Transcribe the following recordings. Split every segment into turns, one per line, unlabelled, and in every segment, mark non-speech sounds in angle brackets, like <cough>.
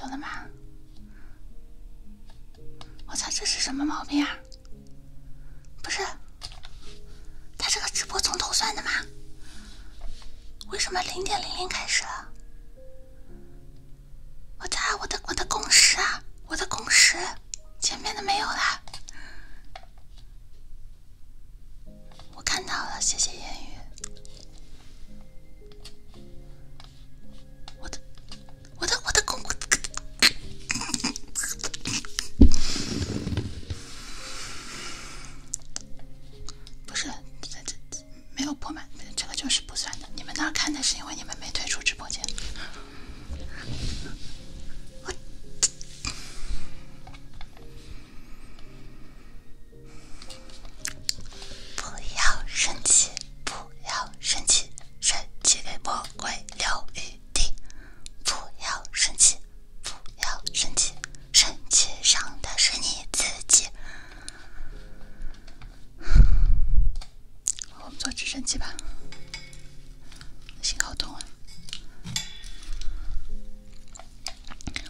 有了吗？我操，这是什么毛病啊？不是，他这个直播从头算的吗？为什么零点零零开始了？我擦，我的我的工时啊，我的工时，前面的没有了。我看到了，谢谢言语。我的，我的，我的工。不是，这这没有破满，这个就是不算的。你们那儿看的是因为你们没退出直播间。不要生气，不要生气，生气给魔鬼疗愈。弟，不要生气，不要生气，生气伤的是你自己。<sighs> 我们坐直升机吧，信号通了。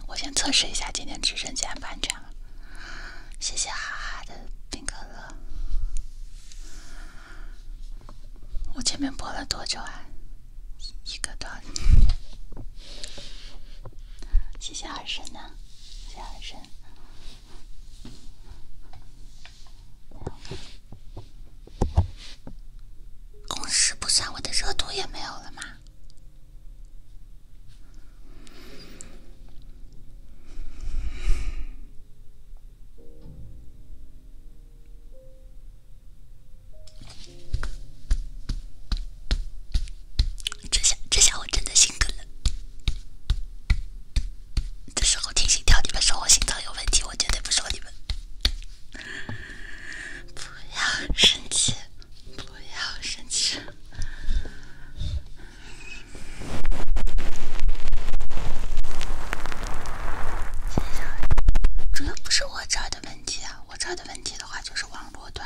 我先测试一下今天直升机安不安全了。谢谢哈哈的冰可乐。我前面播了多久啊？一个多。谢谢二婶呢，谢谢二婶。公示不算，我的热度也没有了吗？这下这下我真的心梗了！这时候听心跳，你们说我心脏有问题，我绝对不说你们。不要生气，不要生气。主要不是我这儿的问题啊，我这儿的问题的话就是网络端。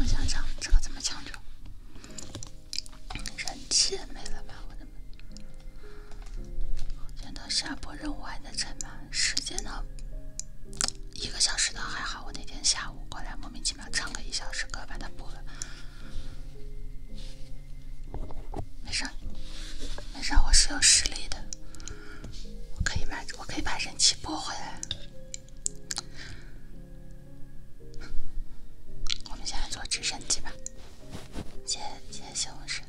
我想想这个怎么抢救？人气没了吧？我的妈！见到下播任务还在满时间呢？一个小时呢？还好，我那天下午过来莫名其妙唱个一小时歌把它播了。没事，没事，我是有实力的，我可以买。我可以把人气拨回来。我们现在坐直升机吧。谢谢西红柿。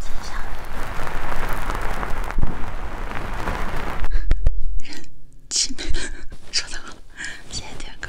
接下来
<laughs> 人气没了，收掉了。谢谢铁哥。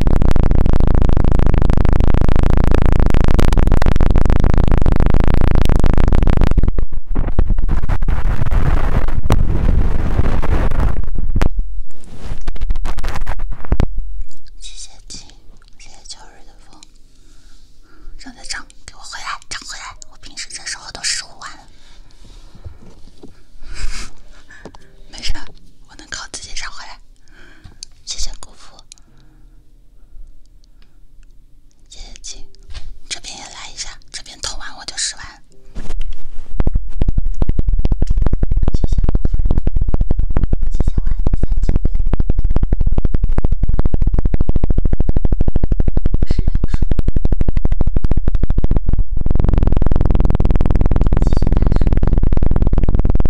机械鸡，吹着焦热的风，让它涨，给我回来，涨回来！我平时这时候都十五万了，<laughs> 没事，我能靠自己涨回来。谢谢姑父。叶青，这边也来一下，这边偷完我就使完。谢谢王夫人，谢谢王三姐。不是来说，期待说。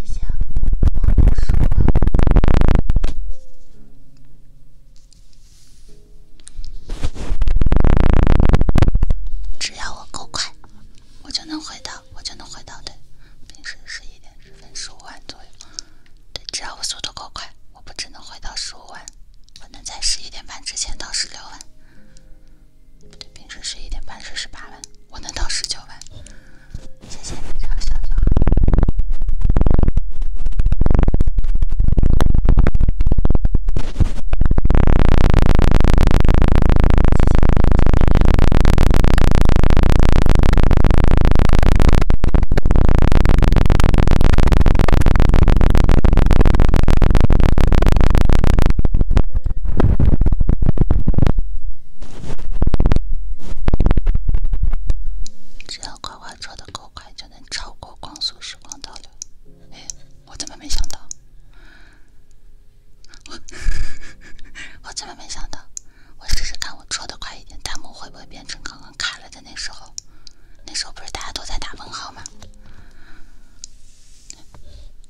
谢谢，往五十万。只要我够快，我就能回到，我就能回到对。平时十一点十分十五万左右，对，只要我速度够快，我不只能回到十五万，我能在十一点半之前到十六万。平时十一点半是十八万，我能到十九万。谢谢你的嘲笑就好。只要快快车的够快，就能超过光速，时光倒流。哎，我怎么没想到？我 <laughs> 我怎么没想到？我试试看，我戳的快一点，弹幕会不会变成刚刚卡了的那时候？那时候不是大家都在打问号吗？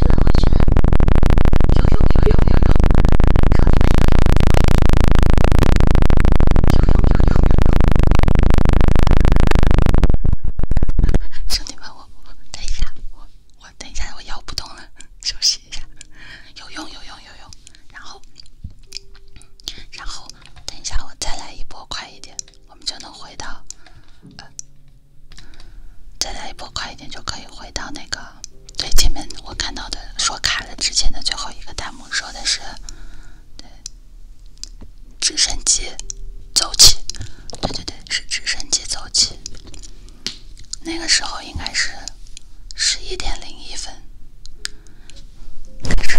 真的，真的，有用，有用，有用，兄弟们，有用，有用，有用，兄弟们，我，我等一下，我，我等一下，我摇不动了，休息一下，有用，有用，有用，然后，然后，等一下，我再来一波，快一点，我们就能回到。再来一波，快一点就可以回到那个最前面。我看到的说卡了之前的最后一个弹幕说的是：“对，直升机走起。”对对对，是直升机走起。那个时候应该是十一点零一分开始。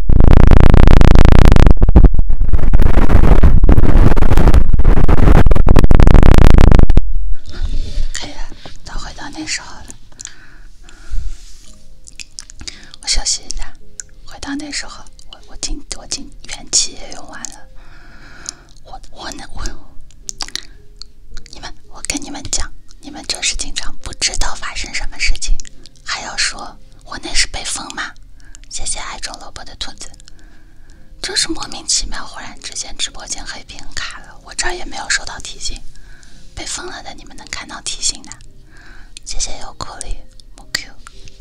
可以了，咱回到那时候了。我休息一下，回到那时候，我我精我精元气也用完了。我我那我，你们，我跟你们讲，你们就是经常不知道发生什么事情。还要说，我那是被封吗？谢谢爱种萝卜的兔子。真是莫名其妙，忽然之间直播间黑屏卡了，我这儿也没有收到提醒，被封了的你们能看到提醒的。谢谢有库里木 Q，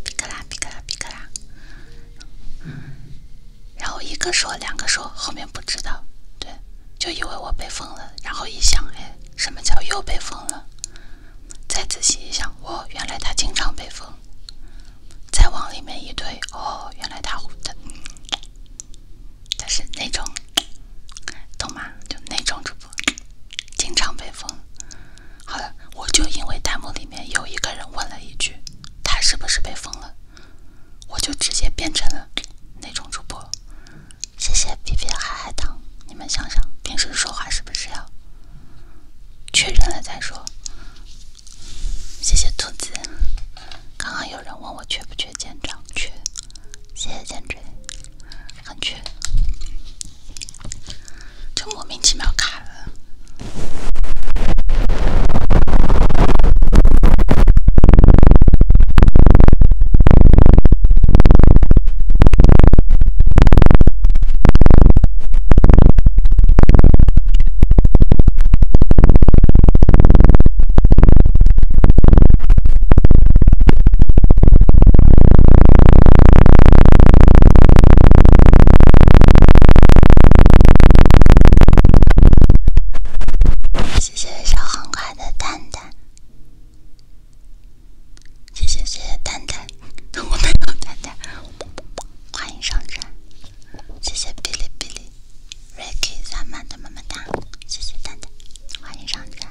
皮可拉皮可拉皮可拉。然后一个说，两个说，后面不知道。对，就以为我被封了，然后一想，哎，什么叫又被封了？再仔细一想，哦，原来他经常被封。再往里面一推，哦，原来他他他是那种，懂吗？就那种主播，经常被封。好了，我就因为弹幕里面有一个人问了一句，他是不是被封了，我就直接变成了那种主播。谢谢皮皮海海棠，你们想想平时说话是不是要确认了再说？谢谢兔子，刚刚有人问我缺不缺肩章，缺。谢谢肩椎，很缺。就莫名其妙卡了。谢谢小黄瓜的蛋蛋。谢谢谢谢蛋蛋，我没有蛋蛋，欢迎上船。谢谢哔哩哔哩，ricky 三曼的么么哒。谢
谢蛋蛋，欢迎上船。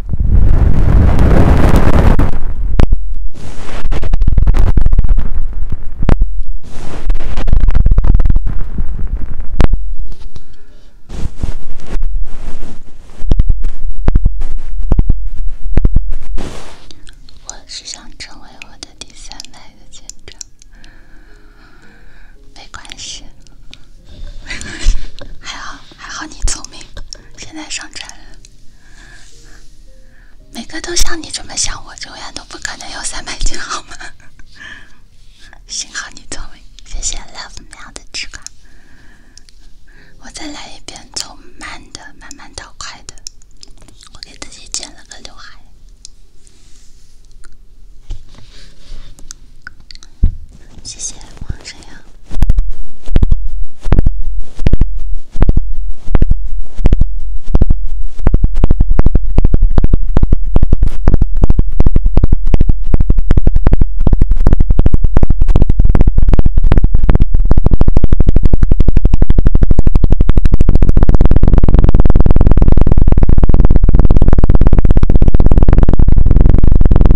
我是想成为我的第三代的见证，没关系。<laughs> 还好，还好你聪明，现在上传了。每个都像你这么想，我永远都不可能有三百斤，好吗？幸好你聪明，谢谢 Love 喵的吃瓜。我再来一遍，从慢的慢慢到快的。我给自己剪了个刘海。谢谢王沈阳。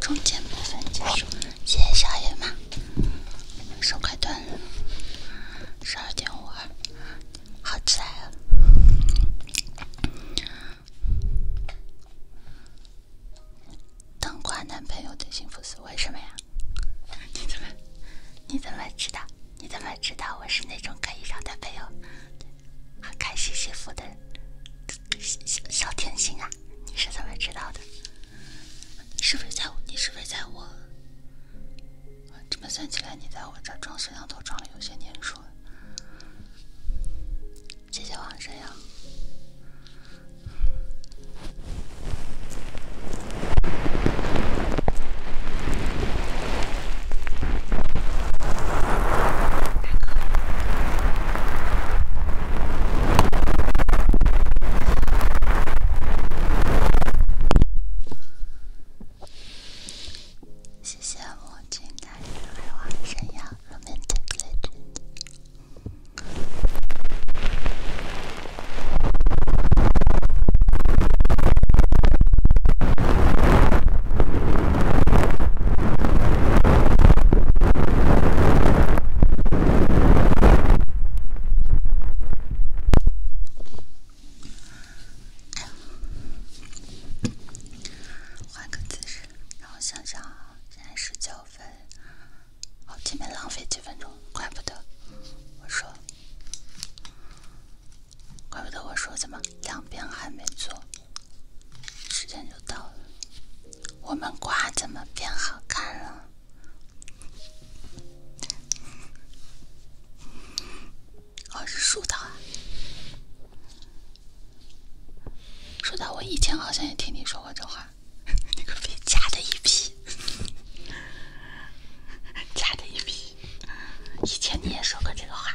中间部分结束，谢谢小
野马，手快断了，十二点五二，好起来了。当挂男朋友的幸福是为什么呀？你怎么，你怎么知道？你怎么知道我是那种可以让男朋友开心幸福的？人？小甜心啊，你是怎么知道的？你是不是在我？你是不是在我？这么算起来，你在我这装摄像头装了有些年数了。谢谢王深呀，大哥。谢谢我今天的才华闪耀，Romantic Legend。换个姿势，让我想想现在十九分，好，今天浪费几分钟，怪不得，我说，怪不得我说怎么两边还没做。时间就到了，我们瓜怎么变好看了？哦，是树的。啊，说到我以前好像也听你说过这话，<laughs> 你个别假的一批，<laughs> 假的一批，以前你也说过这个话。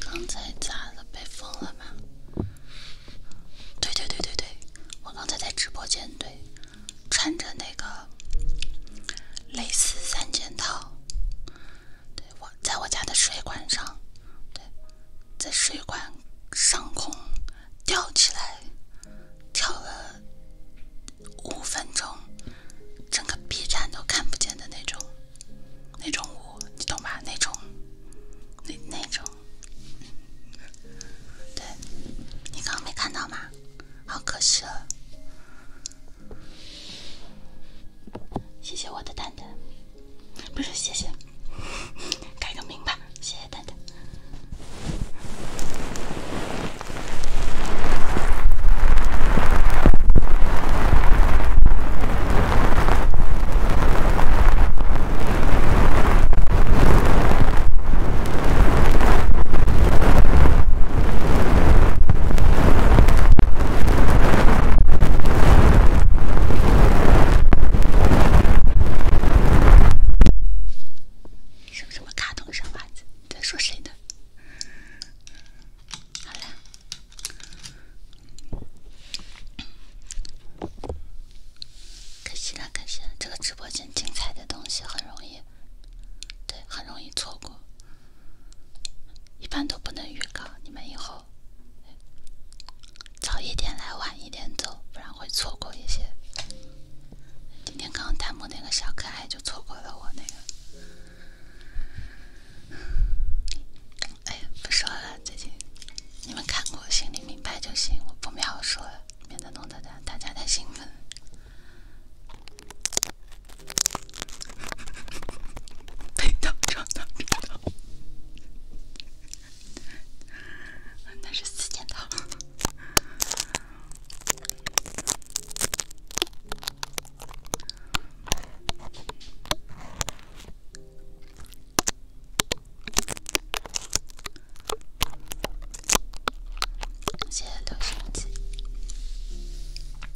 刚才咋了？被封了吗？对对对对对，我刚才在直播间对，穿着那个蕾丝三件套。我在我家的水管上，对，在水管上空吊起来，跳了五分钟，整个 B 站都看不见的那种那种舞，你懂吧？那种那那种，对你刚刚没看到吗？好可惜了。谢谢我的蛋蛋，不是谢谢，改个名吧，谢谢蛋蛋。什么什么卡通沙发子？你在说谁呢？好了，可惜了，可惜了，这个直播间精彩的东西很容易，对，很容易错过。一般都不能预告，你们以后早一点来，晚一点走，不然会错过一些。今天刚刚弹幕那个小可爱就错过了我那个。哎，不说了，最近你们看过，心里明白就行，我不描述了，免得弄得大大家太兴奋。被当场的，那是四件套。谢谢六叔子。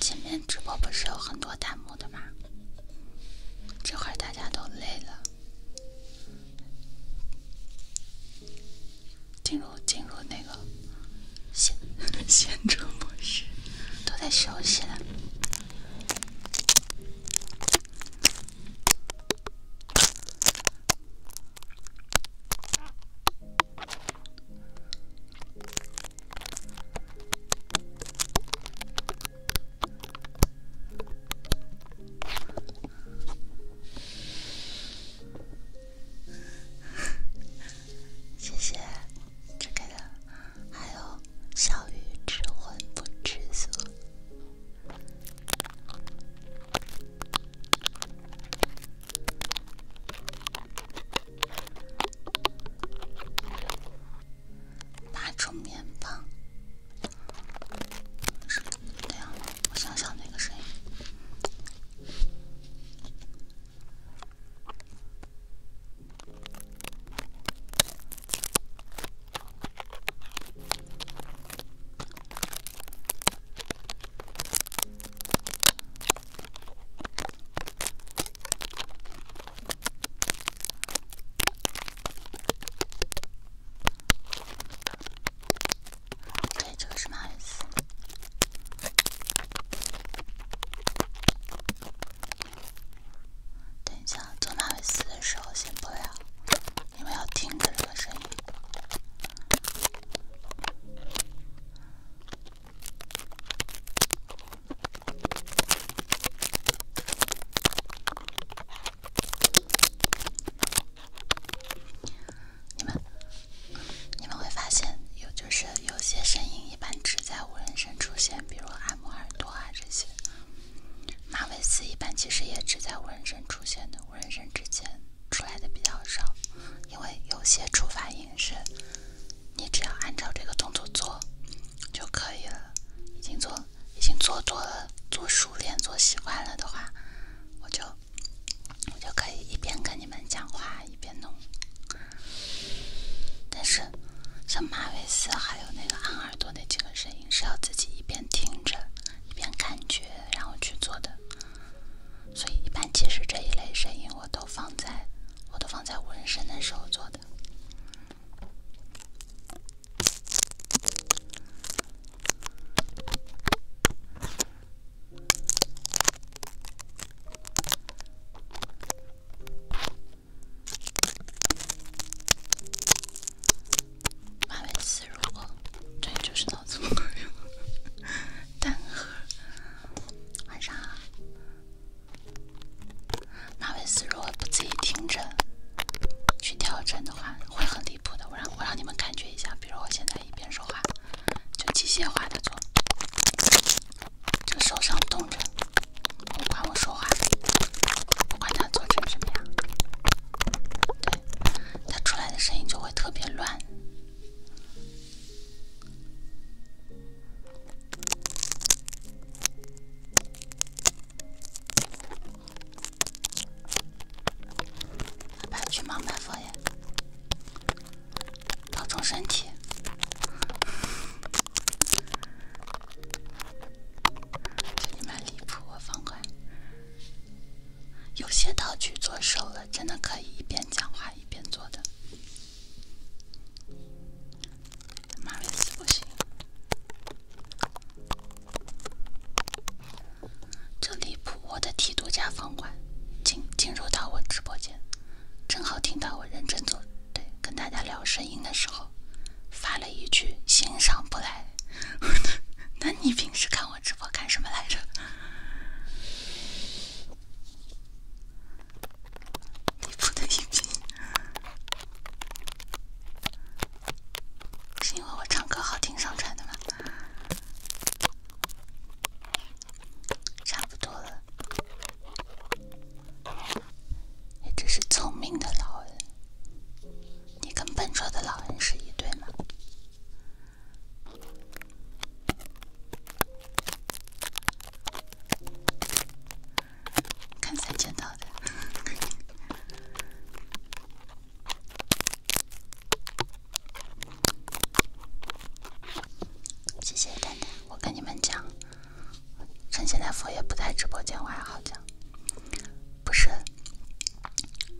前面直播不是有很多弹幕的吗？这会儿大家都累了，进入进入那个闲闲着模式，都在休息了。<laughs> 谢谢，张凯的，还有小鱼吃荤不吃素。八重绵棒，是这样，我想想那个声音。哎，这个是马尾丝。等一下，做马尾丝的时候先不了，因为要听着这个声音。你们，你们会发现，有就是有些声音一般只在无人声出现，比如按摩耳朵啊这些。马尾丝一般其实也只在无人声出现的无人声之间出来的比较少，因为有些触发音是。你只要按照这个动作做就可以了。已经做，已经做多了，做熟练，做习惯了的话，我就我就可以一边跟你们讲话一边弄。但是，像马尾丝还有那个按耳朵那几个声音，是要自己一边听着一边感觉，然后去做的。所以，一般其实这一类声音我都放在。我都放在纹身的时候做的。马尾丝，如这就是脑子不够用，<laughs> 单核，晚上好。马尾丝如果不自己听着去调整的话，会很离谱的。我让我让你们感觉一下，比如我现在一边说话，就机械化地做，就手上动着，不管我说话，不管它做成什么样，对，它出来的声音就会特别乱。别去忙买房呀，保重身体。真的蛮离谱，我放块。有些道具做熟了，真的可以一边讲话一边做的。妈咪死不行，这离谱！我在剃度家房管进进入到我直播间，正好听到我认真做对跟大家聊声音的时候，发了一句欣赏不来。<laughs> 那你平时看我直播干什么来着？<laughs> 底部的一边，是因为我唱歌好听上传的吗？差不多了。你这是聪明的老人，你跟笨拙的老人是一对吗？看三件套的，<laughs> 谢谢蛋蛋。我跟你们讲，趁现在佛爷不在直播间，我还好讲。不是，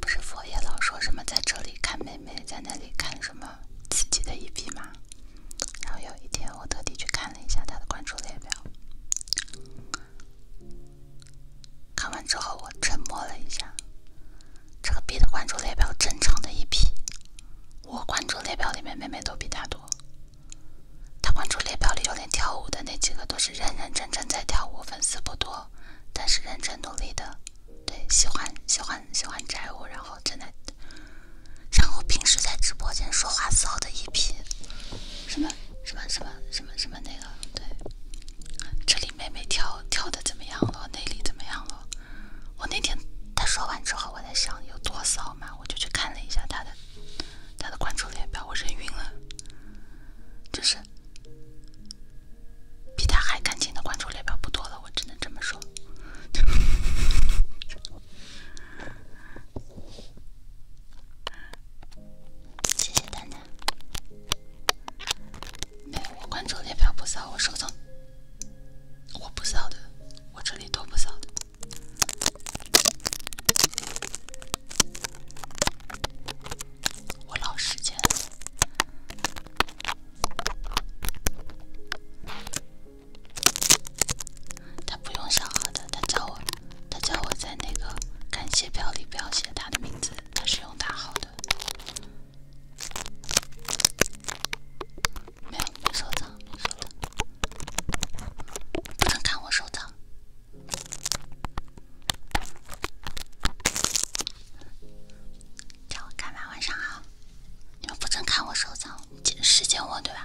不是佛爷老说什么在这里看妹妹，在那里看什么。自己的一匹马，然后有一天我特地去看了一下他的关注列表，看完之后我沉默了一下，这个逼的关注列表正常的一批，我关注列表里面妹妹都比他多，他关注列表里有点跳舞的那几个都是认认真真在跳舞，粉丝不多，但是认真努力的，对，喜欢喜欢喜欢宅舞，然后。真的，像我平时在直播间说话骚的一批，什么什么什么什么什么那个，对，这里妹妹跳跳的怎么样了？内里怎么样了？我那天她说完之后，我在想有多骚嘛，我就去看了一下她的，他的关注列表，我人晕了，就是比他还干净的关注列表不多了，我只能这么说。<laughs> 谢谢大家。没有，我关注列表不扫，我收藏，我不扫的，我这里都不扫的。我老时间。他不用小号的，他叫我，他叫我在那个感谢表里不要写他的名字，他是用大号的。没有没收藏，没收藏，不准看我收藏。叫我干嘛？晚上好。你们不准看我收藏，见识见我，对吧？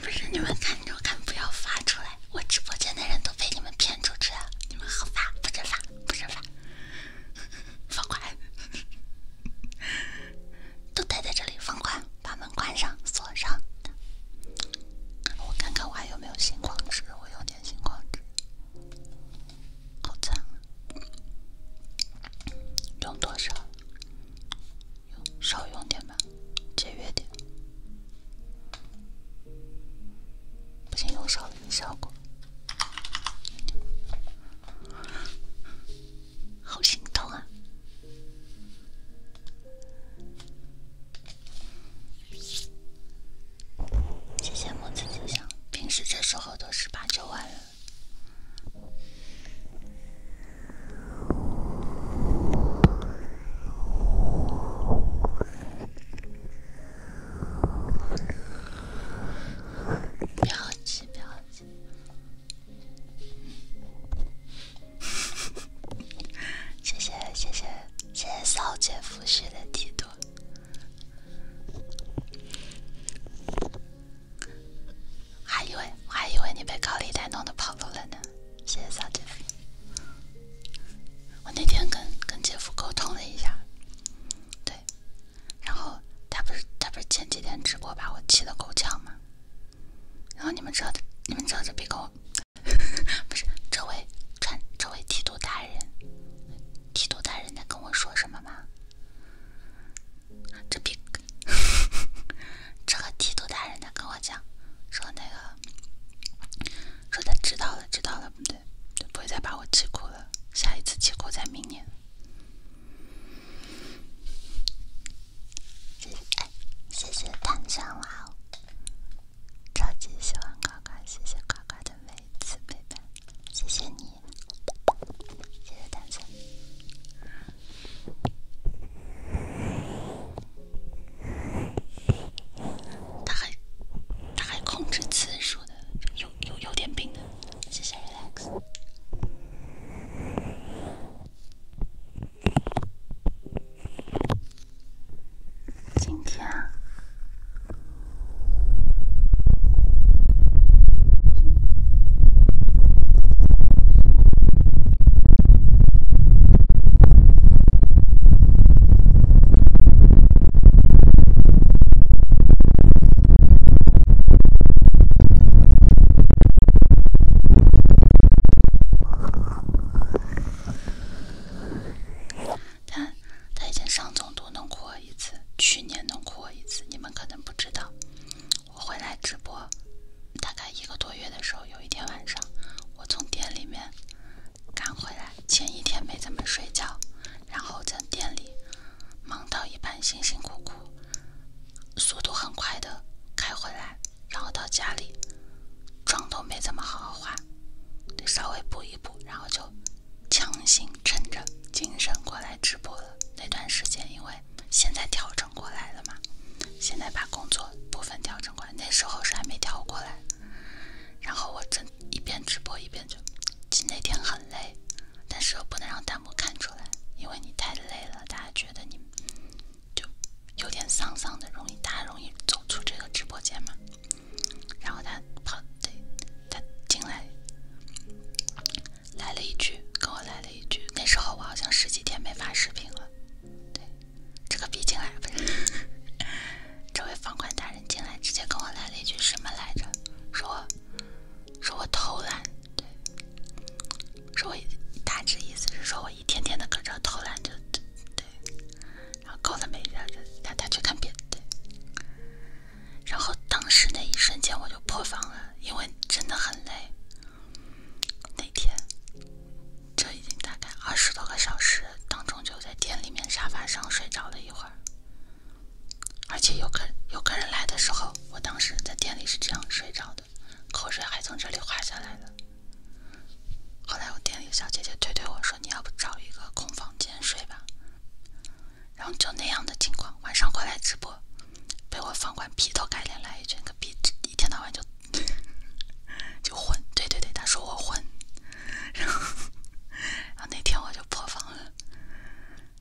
不是你们看着看，不要发出来。我直播间的人都被你们骗出去了，你们合法不合法不合法，放关，都待在这里，放关，把门关上锁上。我看看我还有没有星光纸，我用点星光纸，好惨，用多少？少用点吧。节约点，不行用少了没效果，好心疼啊！谢谢木子吉祥，平时这时候都是八九万人。不要急，不要急！谢谢谢谢谢谢骚姐夫婿的提督，还以为我还以为你被高利贷弄得跑路了呢。谢谢小姐夫。我那天跟跟姐夫沟通了一下，对，然后他不是他不是前几天直播把我气得够呛吗？然后你们知道，你们知道这比跟我 <laughs> 不是这位这这位剃度大人，剃度大人在跟我说什么吗？这比 <laughs> 这个剃度大人在跟我讲，说那个。说他知道了，知道了，不对，不会再把我气哭了。下一次气哭在明年。哎，谢谢碳哇娃，超级喜欢呱呱，谢谢呱呱的每一次陪伴，谢谢你，谢谢碳酸。他还他还控制次数的有有有点病的，谢谢 relax。今天。他他以前上总都能哭一次，去年能哭一次，你们可能不知道。我回来直播，大概一个多月的时候，有一天晚上，我从店里面赶回来。前一天没怎么睡觉，然后在店里忙到一半，辛辛苦苦，速度很快的开回来，然后到家里妆都没怎么好好化，得稍微补一补，然后就强行撑着精神过来直播了。那段时间因为现在调整过来了嘛，现在把工作部分调整过，来，那时候是还没调过来。然后我正一边直播一边就，其实那天很累，但是又不能让弹幕看出来，因为你太累了，大家觉得你就有点丧丧的，容易大家容易走出这个直播间嘛。然后他跑对，他进来来了一句，跟我来了一句，那时候我好像十几天没发视频了，对。这个逼进来，<laughs> 这位房管大人进来，直接跟我来了一句什么来着？说说我偷懒，对，说我大致意思是说我一天天的搁这偷懒，就对，然后搞的没劲儿，让他去看别的对。然后当时那一瞬间我就破防了，因为真的很累，那天。这已经大概二十多个小时，当中就在店里面沙发上睡着了一会儿，而且有客有客人来的时候，我当时在店里是这样睡着的，口水还从这里滑下来的。后来我店里小姐姐推推我说：“你要不找一个空房间睡吧？”然后就那样的情况，晚上过来直播，被我房管劈头盖脸来一句：“可别一天到晚就 <laughs> 就混。”对对对，他说我混。然后，然后那天我就破防了，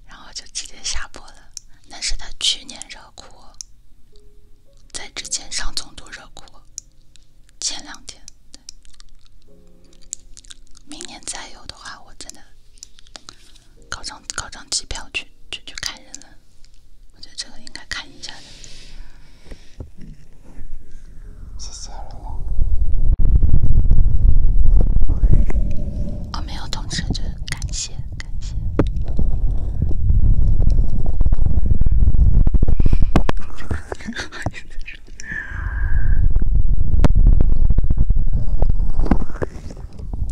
然后就直接下播了。那是他去年热哭，在之前上总督热哭，前两天，明年再有的话，我真的搞张搞张机票去去去看人了。我觉得这个应该看一下的。谢谢我，我没有懂事就感谢感谢。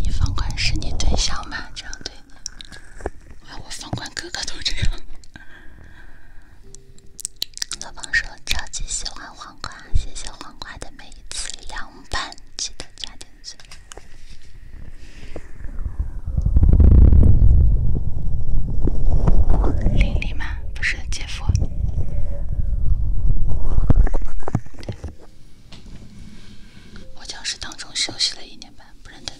你方管是你对象吗？这样对你，我方管哥哥都这样。老王说超级喜欢黄瓜，谢谢黄瓜的每一次凉拌，记得加点醋。玲玲吗？不是，姐夫。我教室当中休息了一年半，不认得。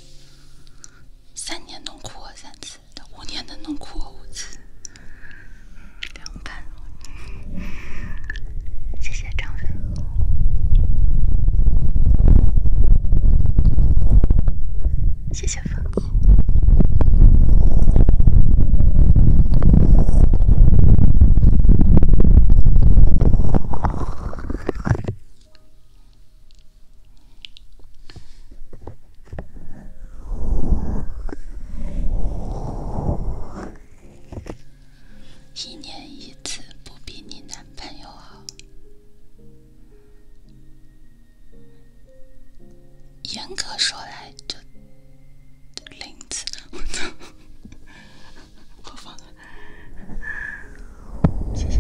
三年弄哭我三次。五年的弄哭我五次，谢谢张飞，谢谢粉。一年一次不比你男朋友好，严格说来就零次。我操！我放，谢谢。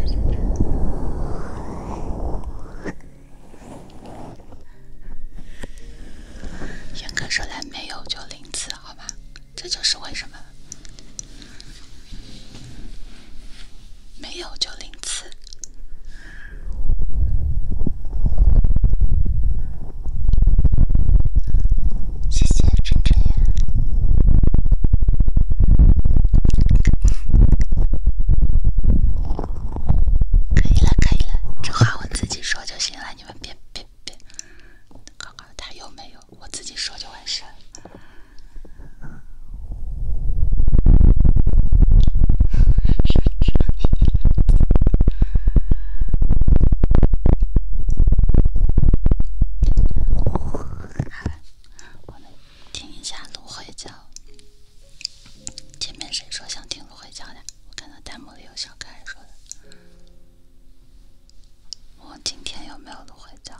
严格说来，没有就零次，好吧？这就是为什么没有就零次。谢谢真真呀。可以了，可以了，这话我自己说就行了，你们别别别，刚刚他又没有，我自己说就完事下芦苇叫。<laughs> 前面谁说想听芦荟胶的？我看到弹幕里有小可爱说的。我今天有没有芦荟胶？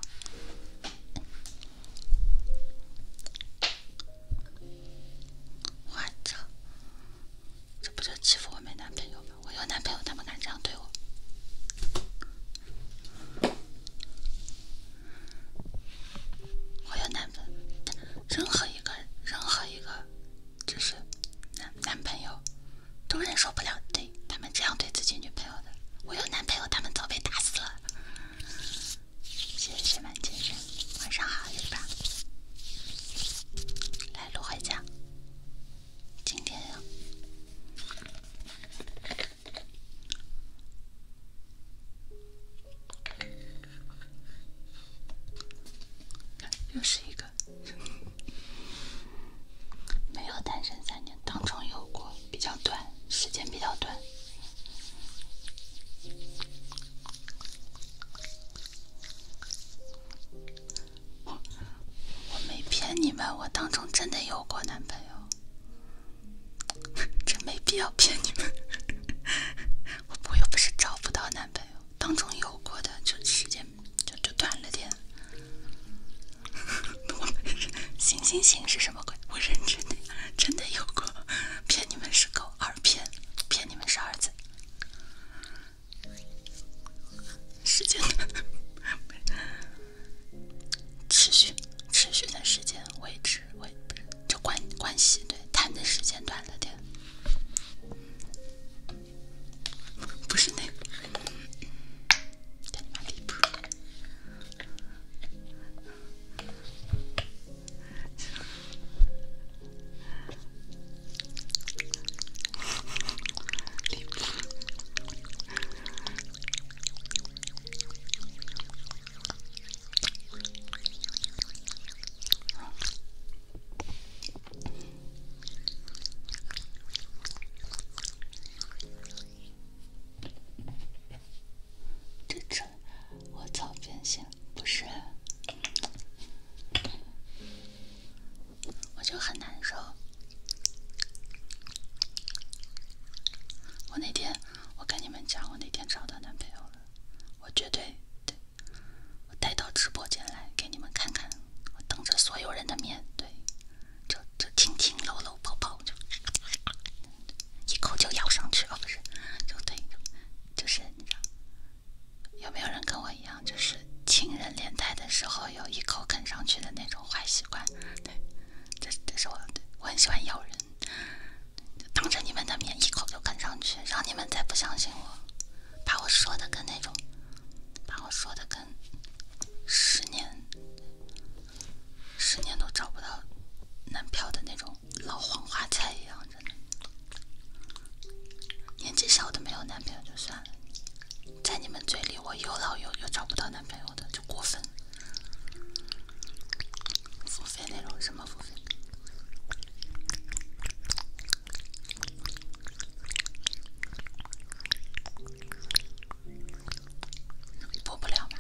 我操！这不就欺负我没男朋友吗？我有男朋友，他们敢这样对我？我有男朋，友，任何一。一个任何一个，就是男男朋友，都忍受不了对他们这样对自己女朋友的。我有男朋友，他们早被打死了。谢谢满精神，晚上好，是吧？来，卢荟江，今天。又是一个 <laughs> 没有单身三年，当中有过，比较短，时间比较短。我，没骗你们，我当中真的有过男朋友，<laughs> 真没必要骗你们。我又不是找不到男朋友，当中有过的，就时间就就短了点。<laughs> 行行行是什么鬼？我认真的，真的有过，骗你们是狗二骗，骗你们是儿子，时间的 <laughs> 持续持续的时间维持。喂，不是，就关关系，对，谈的时间短了点，不是那个，点满滴布。<laughs> 这这，我操！变心不是，我就很难受。我那天，我跟你们讲，我那天找到男朋友了，我绝对对。我带到直播间来给你们看看，我当着所有人的面对，就就亲亲搂搂抱抱，就一口就咬上去了，不是，就对，就是你知道，有没有人跟我一样，就是亲人连带的时候有一口啃上去的那种坏习惯？对，这这是我，我很喜欢咬人。当着你们的面一口就啃上去，让你们再不相信我，把我说的跟那种，把我说的跟十年、十年都找不到男票的那种老黄花菜一样。的。年纪小的没有男朋友就算了，在你们嘴里我又老又又找不到男朋友的就过分。付费那种什么付费？播不了吗？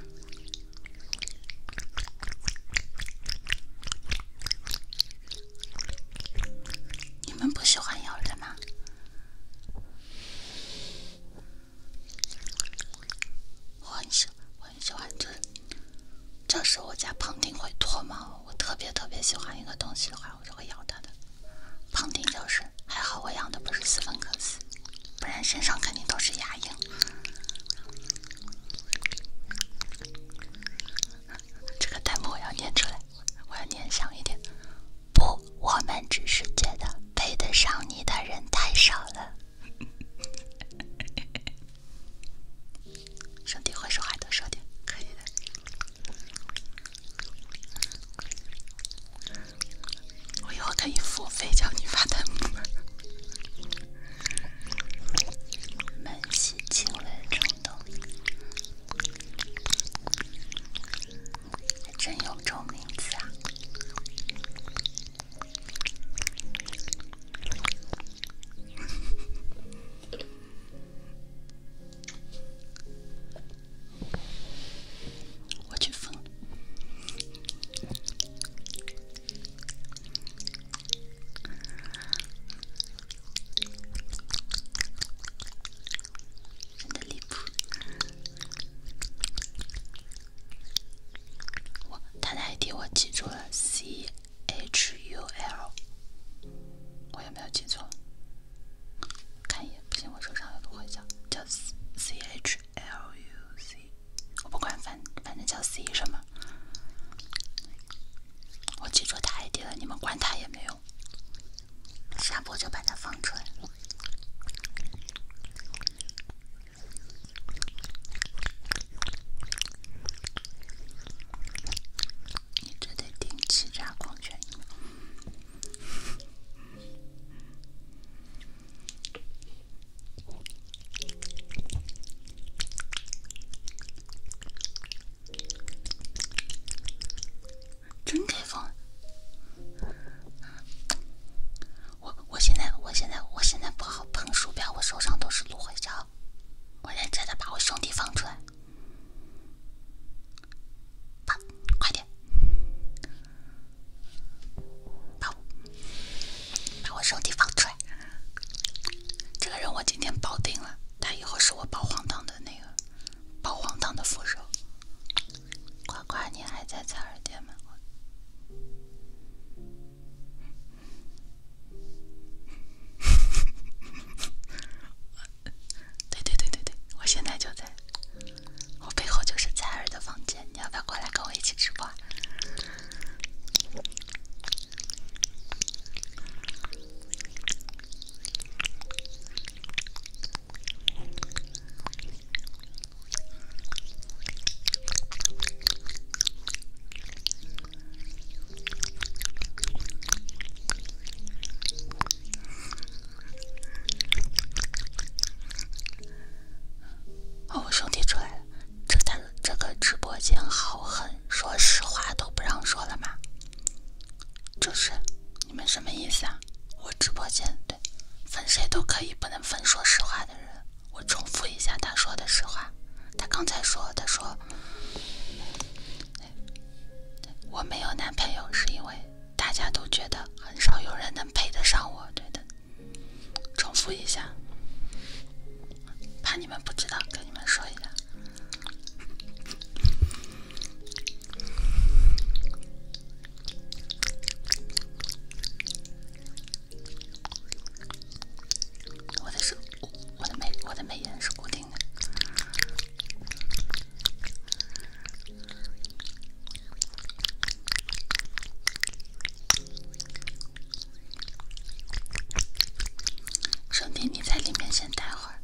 你们不喜欢咬人吗？我很喜。欢。很喜欢，就是，是我家胖丁会脱毛，我特别特别喜欢一个东西的话，我就会咬它的。胖丁就是，还好我养的不是斯芬克斯，不然身上肯定都是牙印。这个弹幕我要念出来，我要念响一点。不，我们只是觉得配得上你的人太少了。身体会说话，多说点可以的。我以后可以付费教你发弹幕。满心亲吻冲动，还真有这种名字啊。我去疯了，真的离谱！我记住了 C。hul，我有没有记错？看一眼，不行，我手上有个徽章，叫 cchluc，我不管反反正叫 c 什么，我记错太低了，你们管它也没用，下播就把它放出来。你这得定期加矿泉水。真开放！我我现在我现在我现在不好碰鼠标，我手上都是芦荟胶。我认真的把我兄弟放出来，快点，把，我把我兄弟放出来。这个人我今天包定了，他以后是我保皇党的那个，保皇党的副手。乖乖，你还在采耳店吗？<laughs> 对对对对对，我现在就在我背后就是彩儿的房间，你要不要过来跟我一起直播？哦，我兄弟出来了！这他这个直播间好狠，说实话都不让说了吗？就是你们什么意思啊？我直播间对分谁都可以，不能分说实话的人。我重复一下他说的实话，他刚才说他说。我没有男朋友，是因为大家都觉得很少有人能配得上我，对的。重复一下，怕你们不知道，跟你们说一下。我的是，我的美，我的美颜是固定。兄弟，你在里面先待会儿，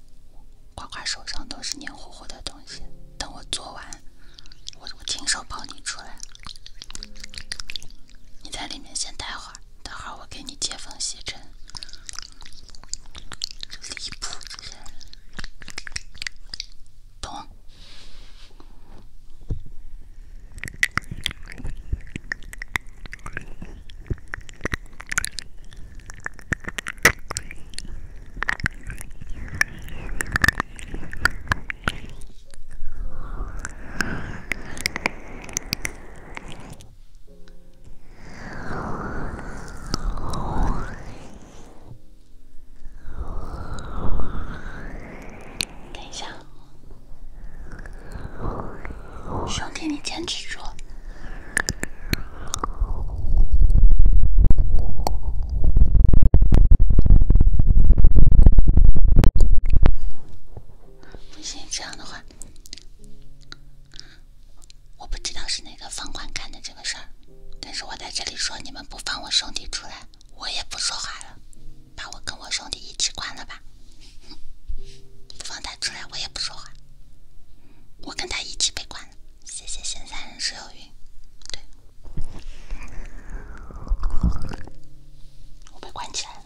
瓜刮手上都是黏糊糊的东西。等我做完，我我亲手抱你出来。你在里面先待会儿。等会儿我给你接风洗尘，等一下，兄弟，你坚持住！不行，这样的话。我不知道是哪个方管干的这个事儿，但是我在这里说，你们不放我兄弟出来，我也不说话了，把我跟我兄弟一起关了吧，不放他出来我也不说话，我跟他一起被关了，谢谢现在人是有云。对，我被关起来了。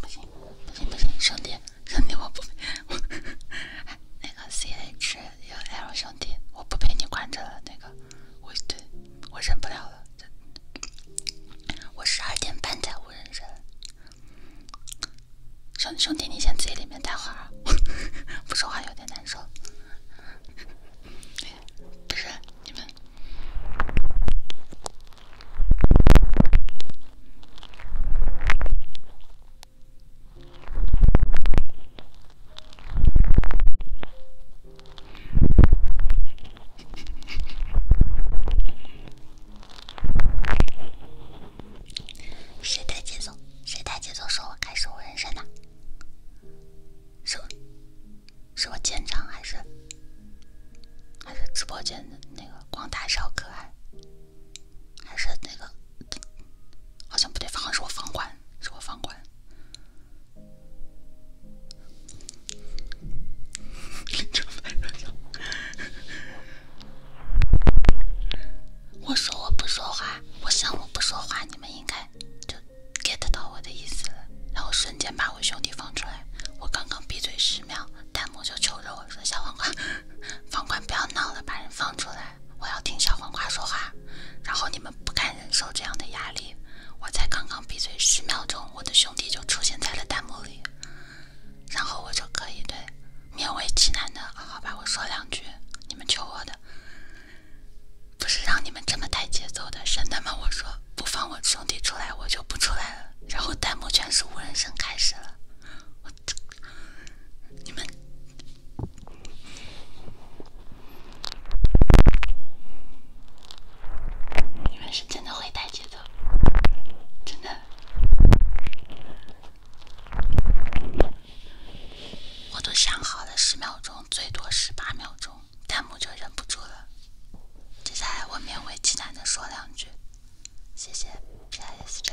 不行不行不行，兄弟兄弟我不、哎，那个 C H U L 兄弟，我不陪你关着了。那个，我，对，我忍不了了。我十二点半才无人声。兄兄弟，你先自己里面待会儿，<laughs> 不说话有点难受。<laughs> 谁带节奏？谁带节奏？说我开始我人生的，是是我建章还是还是直播间的那个光大小可爱，还是那个？好像不对，好像是我房管，是我房管。<laughs> 我说我不说话，我想我不说话，你们应该就 get 到我的意思了。然后瞬间把我兄弟放出来，我刚刚闭嘴十秒，弹幕就求着我说：“小房管，房管不要闹了，把人放出来。”我要听小黄瓜说话，然后你们不敢忍受这样的压力。我才刚刚闭嘴十秒钟，我的兄弟就出现在了弹幕里，然后我就可以对勉为其难的好吧，我说两句，你们求我的，不是让你们这么带节奏的，是那么我说不放我兄弟出来，我就不出来了，然后弹幕全是无人声开始了，我，你们。你们是真的会带节奏，真的。我都想好了，十秒钟最多十八秒钟，弹幕就忍不住了。接下来我勉为其难的说两句，谢谢，谢谢，谢谢。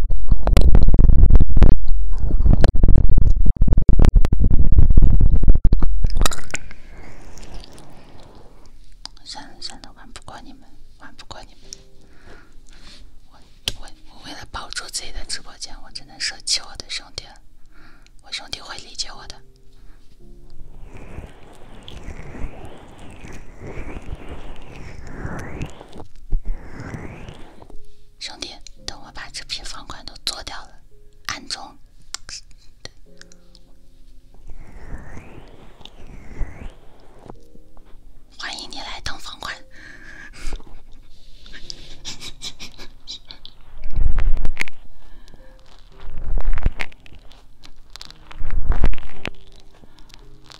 算了算了，玩不过你们，玩不过你们。我我为了保住自己的直播间，我只能舍弃我的兄弟了。我兄弟会理解我的。兄弟，等我把这批房款都做掉了，暗中欢迎你来当房款。能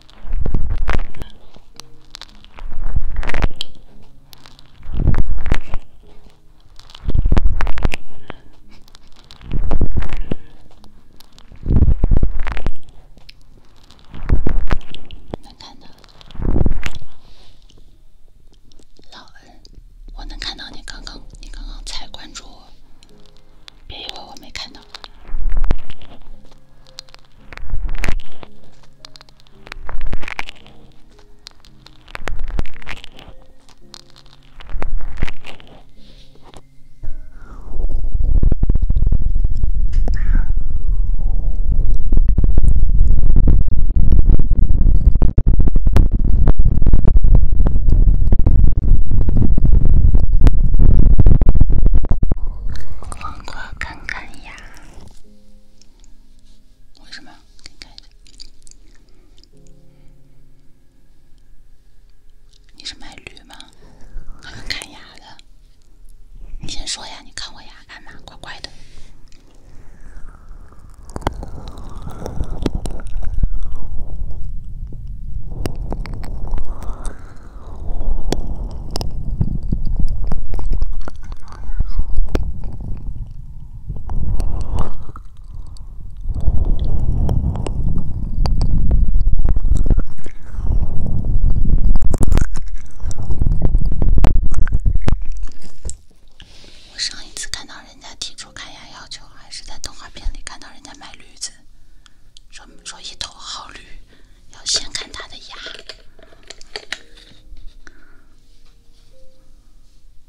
看到老恩，我能看到你刚刚，你刚刚才关注我，别以为我没看到。我看看呀。为什么？给你看一下，你是卖驴吗？看牙的，你先说呀，你看我牙干嘛？乖乖的。我上一次看到人家提出看牙要求，还是在动画片里看到人家买驴子，说说一头好驴。要先看他的牙，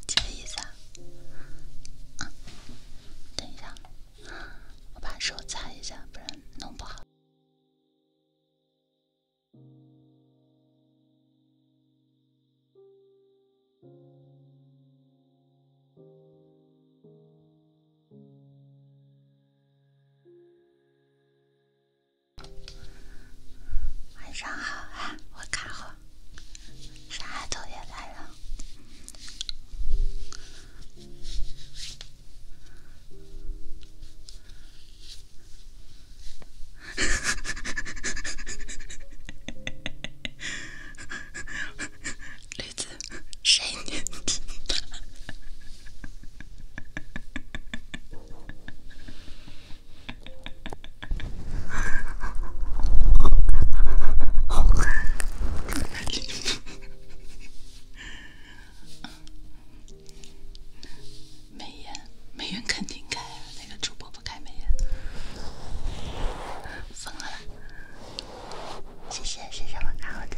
等一下，我把手擦一下，不然弄不好。晚上好啊，我干活，傻丫也来了，美颜，美颜肯定开啊！那个主播不开美颜，疯了啦！谢谢谢谢我我大耳朵。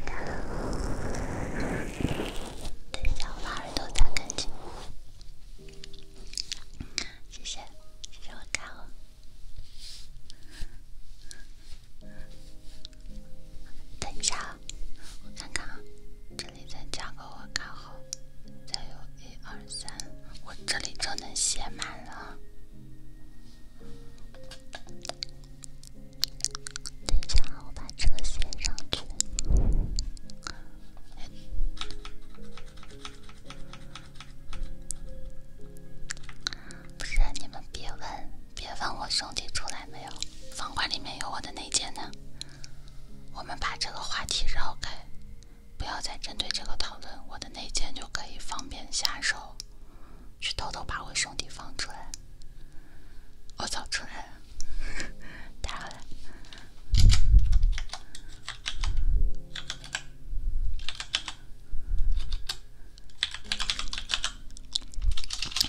等一下，我把耳朵擦干净。谢谢，谢谢我卡号。等一下，我看看啊，这里再加个我卡号，再有一二三，我这里就能写满了。等一下，我把这个写上去。不是，你们别问，别问我兄弟出来没有。房管里面有我的内奸呢。我们把这个话题绕开，不要再针对这个讨论，我的内奸就可以方便下手，去偷偷把我兄弟放出来。我早出来了。到 <laughs> 了，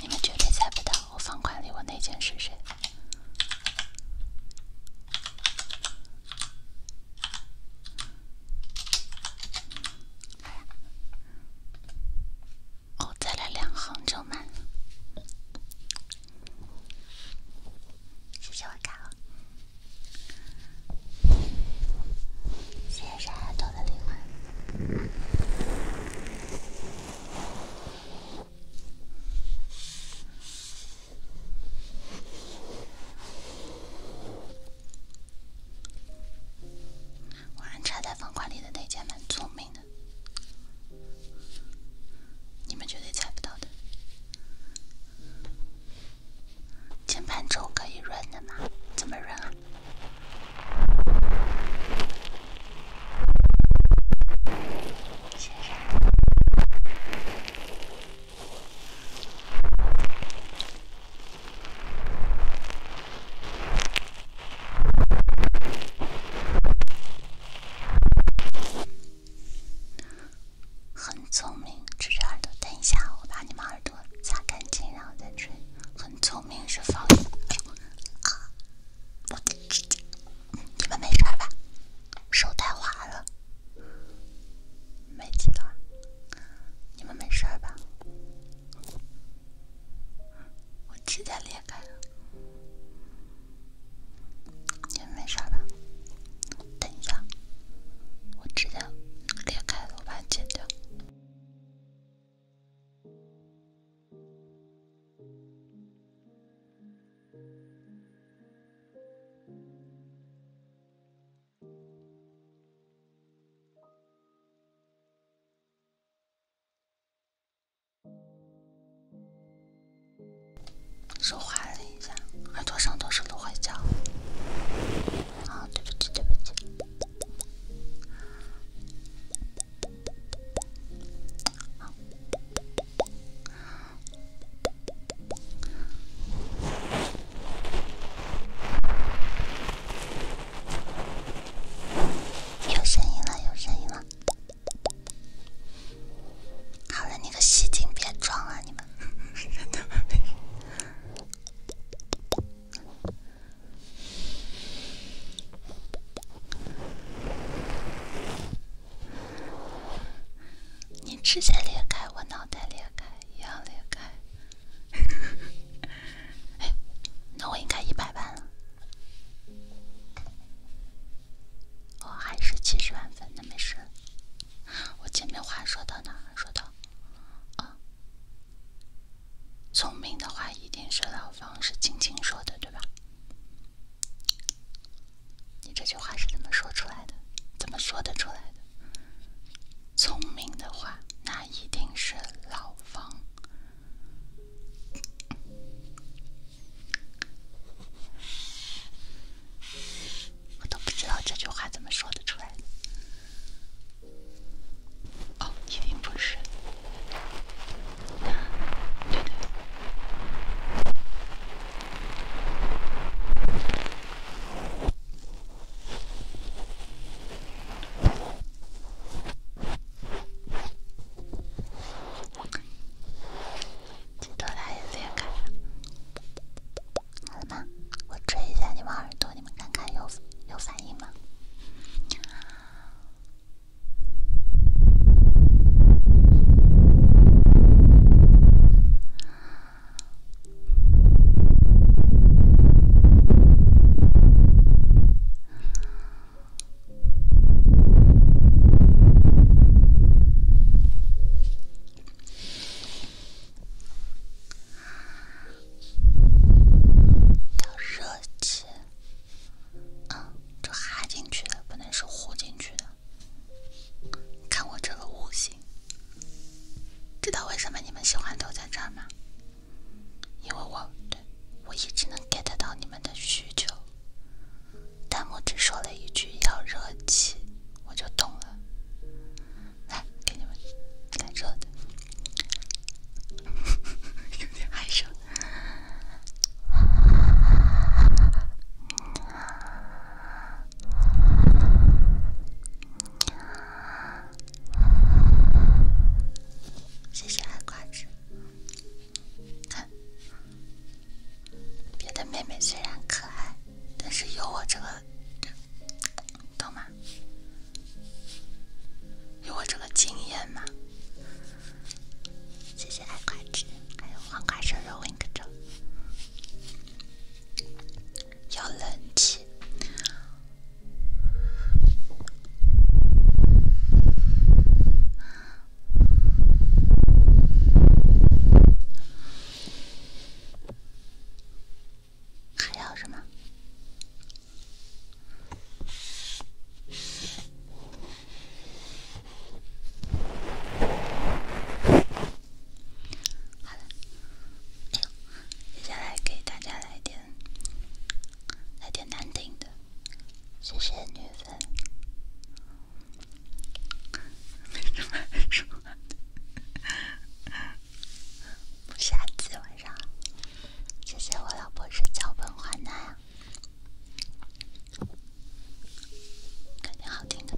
你们绝对猜不到我房款里我内奸是谁。哦，再来两行就满。了。谢谢我卡谢谢山海兔的礼物。我还插在方块里的那家蛮聪明的。你们绝对猜不到的。键盘轴可以润的吗？怎么润啊？很聪明，吹吹耳朵。等一下，我把你们耳朵擦干净，然后再吹。很聪明是防。啊！我你们没事吧？手太滑了，没几道。你们没事吧？我指甲里。开，也没啥吧。等一下，我直接连开，我把剪掉。手滑了一下，耳朵上都是芦荟胶。啊，对不起对不起对不起。有声音了有声音了。好了，你个戏精，别装了，你们。是真的吗？您吃起来裂开，我脑袋裂开，一样裂开。<laughs> 哎，那我应该一百万。哦，还是七十万分，那没事。我前面话说到哪？说到啊，聪明的话一定是老方是青青说的，对吧？你这句话是怎么说出来的？怎么说得出来的？聪明的话，那一定是老方。我都不知道这句话怎么说得出来哦，一定不是。那，对耳朵他也裂开了，好了吗？我吹一下你们耳朵，你们看看有有反应吗？要热气，嗯，这哈进去的不能是糊进去的。看我这个悟性，知道为什么你们喜欢都在这儿吗？因为我对我一直能 get 到你们的需求。弹幕只说了一句要热气，我就懂了。来，给你们感热的，<laughs> 有点害羞。谢谢爱瓜子。看。别的妹妹虽然可爱，但是有我这个，懂吗？有我这个经验吗？谢谢爱瓜纸，还有黄瓜生肉，你可着要冷气。还要什么？好了，接下来给大家来点，来点难听的，谢谢女粉。没什么，什么？下次晚上，谢谢我老婆是脚本换男啊，肯定好听的。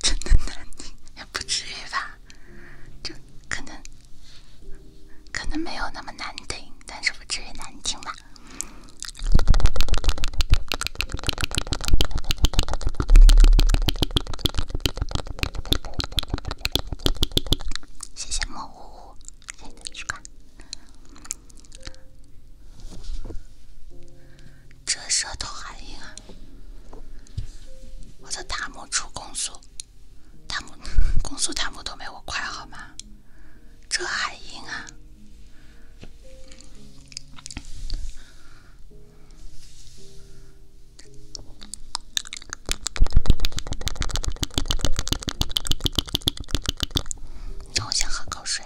真的难听，也不至于吧，就可能可能没有那么难听，但是不至于难听吧。谢谢莫呜呜，新的一个。这舌头还硬啊！我的塔姆出攻速，塔姆攻速塔姆都没我快好吗？这还硬啊！让我先喝口水。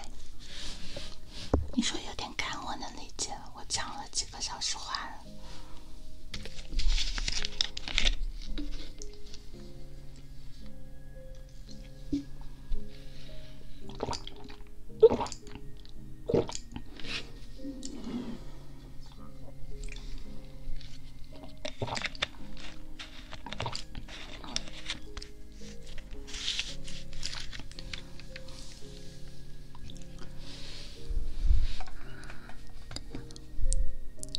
你说有点干，我能理解。我讲了几个小时话了。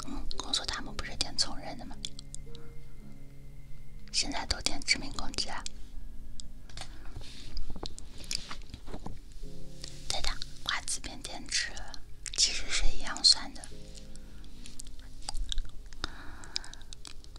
嗯，攻速塔不是点从人的吗？现在都点攻击了。对的，瓜子变电池其实是一样算的。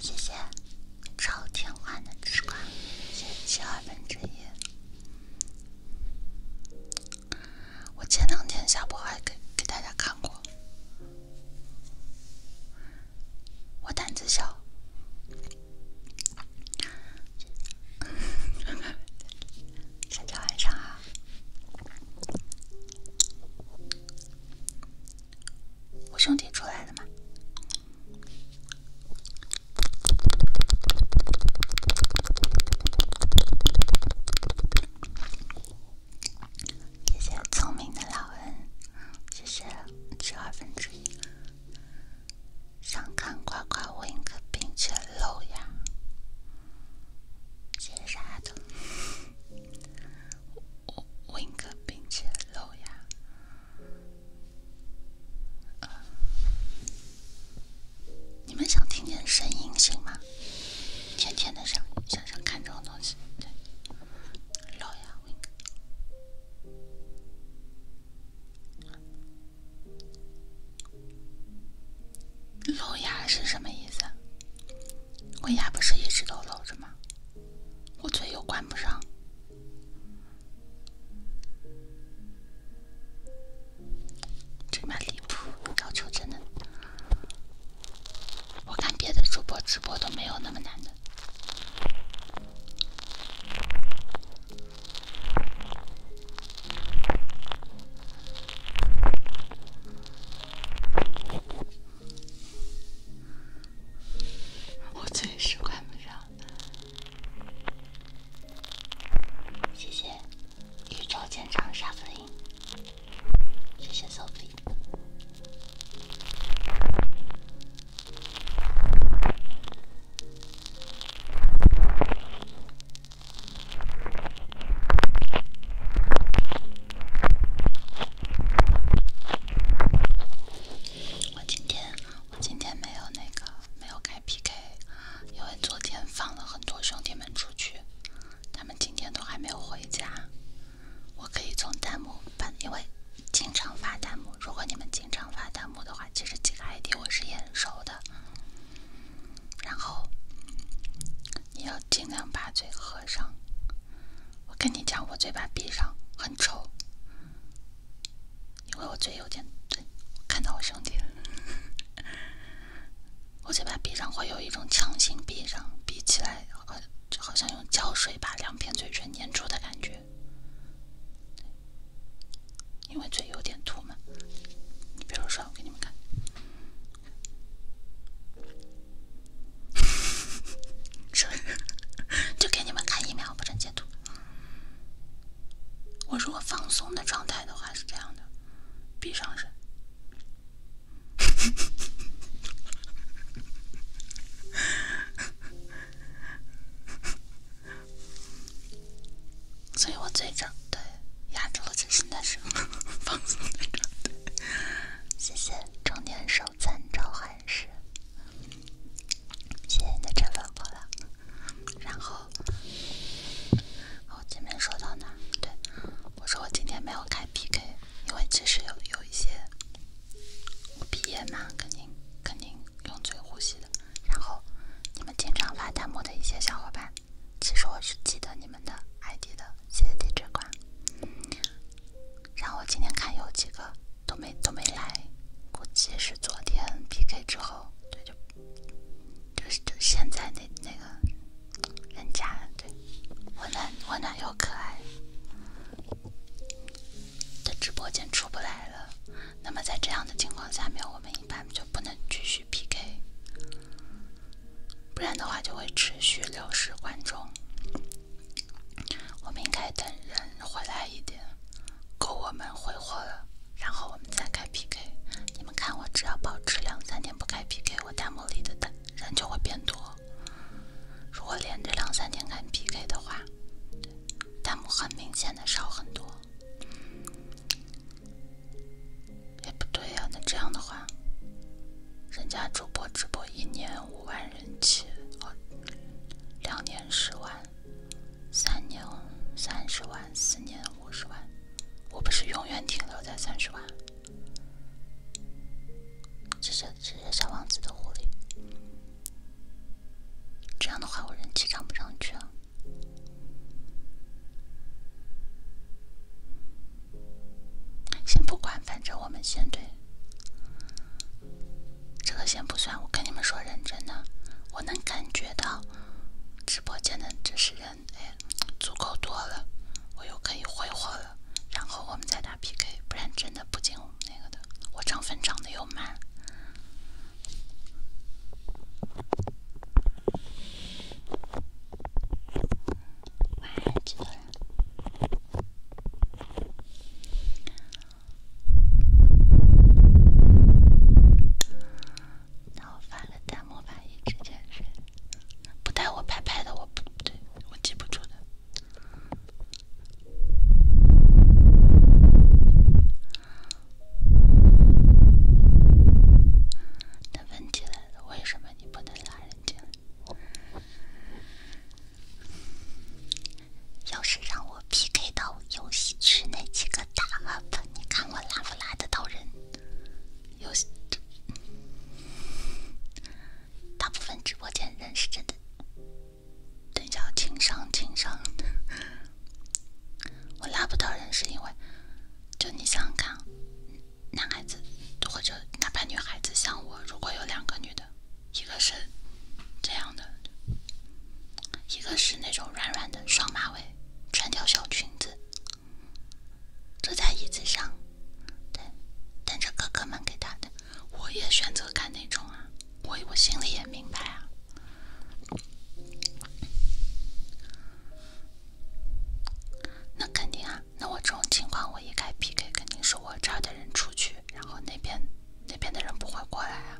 谢谢，超甜幻的吃瓜，谢谢二分之一。我前两天下播还给给大家看过，我胆子小。香 <laughs> 蕉晚上好，我兄弟出来了吗？谢谢聪明的老恩，谢谢吃二分之一。想看乖乖，我一个并且露牙。写啥的？我我我应该并且露牙。你们想听见声音行吗？甜甜的声音，想想看这种东西，对，露牙 wink。露牙是什么意思？我牙不是一直都露着吗？我嘴又关不上，真蛮离谱，要求真的。我看别的主播直播都没有那么难的。我确实关不上。谢谢宇宙舰长沙子英。谢谢手臂。我今天，我今天没有那个，没有开 PK，因为昨天放了很多兄弟们出去，他们今天都还没有回家。我可以从弹幕，因为经常发弹幕，如果你们经常发弹幕的话，其实几个 ID 我是很熟的。然后你要尽量把嘴合上。我跟你讲，我嘴巴闭上很丑，因为我嘴有点……我看到我兄弟了。<laughs> 我嘴巴闭上会有一种强行闭上，闭起来就好像用胶水把两片嘴唇粘住的感觉，因为嘴有点凸嘛。你比如说，我给你们看。是 <laughs> 不就给你们看一秒，不准截图。我如果放松的状态的话是这样的，闭上眼。<laughs> 所以我嘴正对，压住了最新的声，放松点，谢谢中年手残招喊式，谢谢你的这份过来。然后我前面说到哪？对，我说我今天没有开 PK，因为其实有有一些我毕业嘛，肯定肯定用嘴呼吸的。然后你们经常发弹幕的一些小伙伴。其实我是记得你们的 ID 的，谢谢地址管。然后我今天看有几个都没都没来，估计是昨天 PK 之后，对就就是就现在那那个人家对温暖温暖又可爱的直播间出不来了。那么在这样的情况下面，我们。一般就不能继续 PK，不然的话就会持续流失观众。我们应该等人回来一点，够我们挥霍了，然后我们再开 PK。你们看，我只要保持两三天不开 PK，我弹幕里的弹人就会变多。如果连着两三天开 PK 的话，弹幕很明显的少很多。也不对呀，那这样的话，人家主播直播一年五万人气，哦，两年十万，三年三十万，四年五十万，我不是永远停留在三十万？谢谢谢谢小王子的狐狸，这样的话我人气涨不上去啊？先不管，反正我们先对这个先不算。我跟你们说，认真的，我能感觉到直播间的这是人，哎，足够多了，我又可以挥霍了。然后我们再打 PK，不然真的不进那个的。我涨粉涨的又慢。完成。那我发了弹幕反应之前是不带我拍拍的，我不对，我记不住的。那问题来了，为什么？你不能拉人家。要是让我 PK 到游戏区那几个大 UP，你看我拉不拉得到人？游戏大部分直播间人是真的。等一下，情商情商，我拉不到人是因为就你想看。男孩子，或者哪怕女孩子像我，如果有两个女的，一个是这样的，一个是那种软软的双马尾，穿条小裙子，坐在椅子上，对，等着哥哥们给她的。我也选择看那种啊，我我心里也明白啊。那肯定啊，那我这种情况我一开 PK，肯定是我这儿的人出去，然后那边那边的人不会过来啊。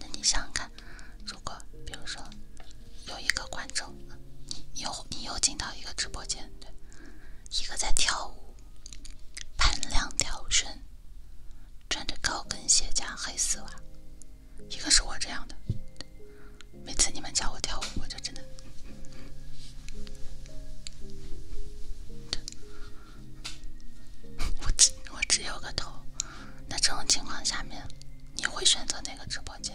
那你想想看，如果比如说有一个观众，你又你又进到一个直播间，对，一个在跳舞，盘两条绳。穿着高跟鞋加黑丝袜，一个是我这样的。每次你们叫我跳舞，我就真的，我只我只有个头。那这种情况下面，你会选择哪个直播间？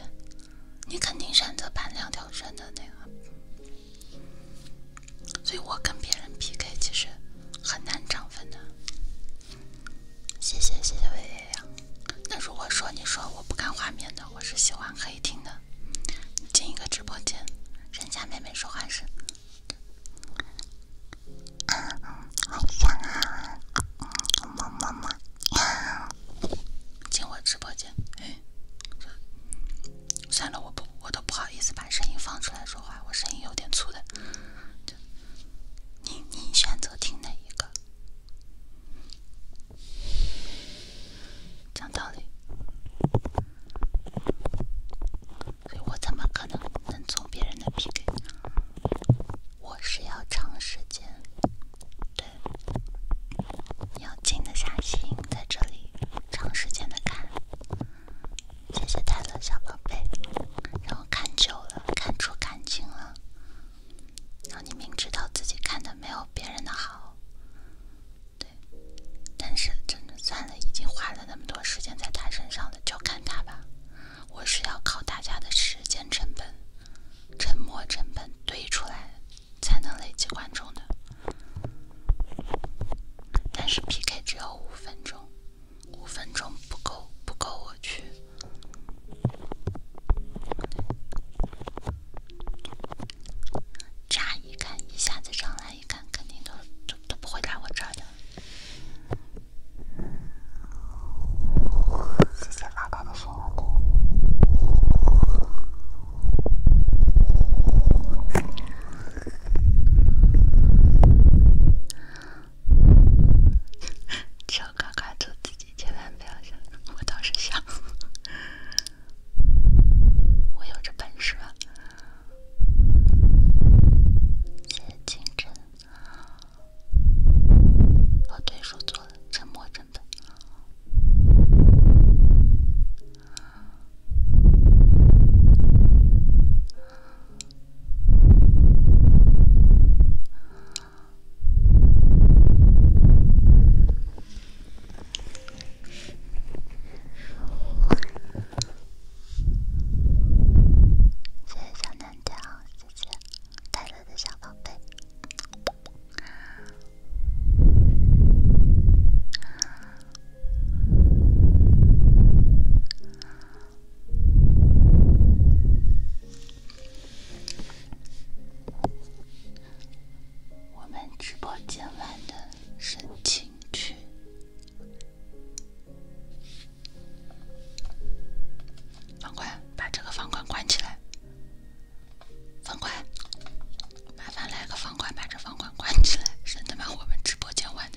你肯定选择板两条绳的那个。所以我跟别人 PK，其实很难涨粉的。谢谢谢谢薇月亮。那如果说你说我不看画面的，我是喜欢黑听的。进一个直播间，人家妹妹说话声。好啊！进我直播间，算了，我不，我都不好意思把声音放出来说话，我声音有点粗的。你你选择听哪一个？讲道理，所以我怎么可能能做别人的 PK？我是要长时间，对，要静得下心在这里长时间的看。谢谢泰勒小宝贝，让我看久了看出感情了。让你明知道自己看的没有别人的好，对，但是真的算了，已经花了那么多时间在他身上了，就看他吧。我是要靠大家的时间成本、沉默成本堆出来才能累积观众的。但是 PK 只有五分钟。五分钟不够，不够我去。乍一看，一下子上来一看，肯定都都都不会来我这儿的。谢谢八糟的悟的。<laughs> 只要敢敢做自己，千万不要想。我当时想，我有这本事吗？接金针，和对手做了沉默针的。谢谢小南条，谢谢泰勒的小宝贝。我们直播间玩的是轻去房管，把这个房管关起来。房管，麻烦来个房管，把这房管关起来，省得把我们直播间玩。的。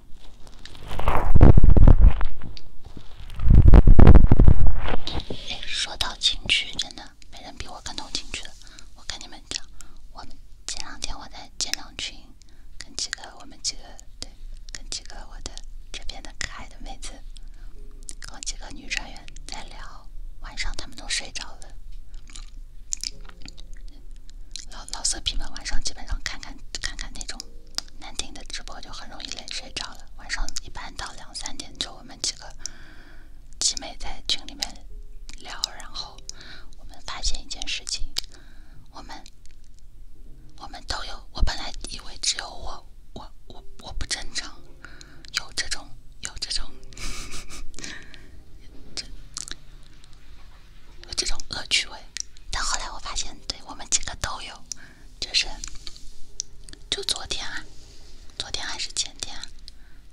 哎，说到情趣，真的没人比我更懂情趣了。我跟你们讲，我们前两天我在建浪群，跟几个我们几个对，跟几个我的这边的可爱的妹子，和几个女专员在聊，晚上他们都睡着了。老老色批们晚上基本上看看看看那种。难听的直播就很容易累睡着了。晚上一般到两三点，就我们几个集美在群里面聊。然后我们发现一件事情：我们我们都有。我本来以为只有我，我我我不正常，有这种有这种有这种恶趣味。但后来我发现，对我们几个都有。就是，就昨天啊，昨天还是前天，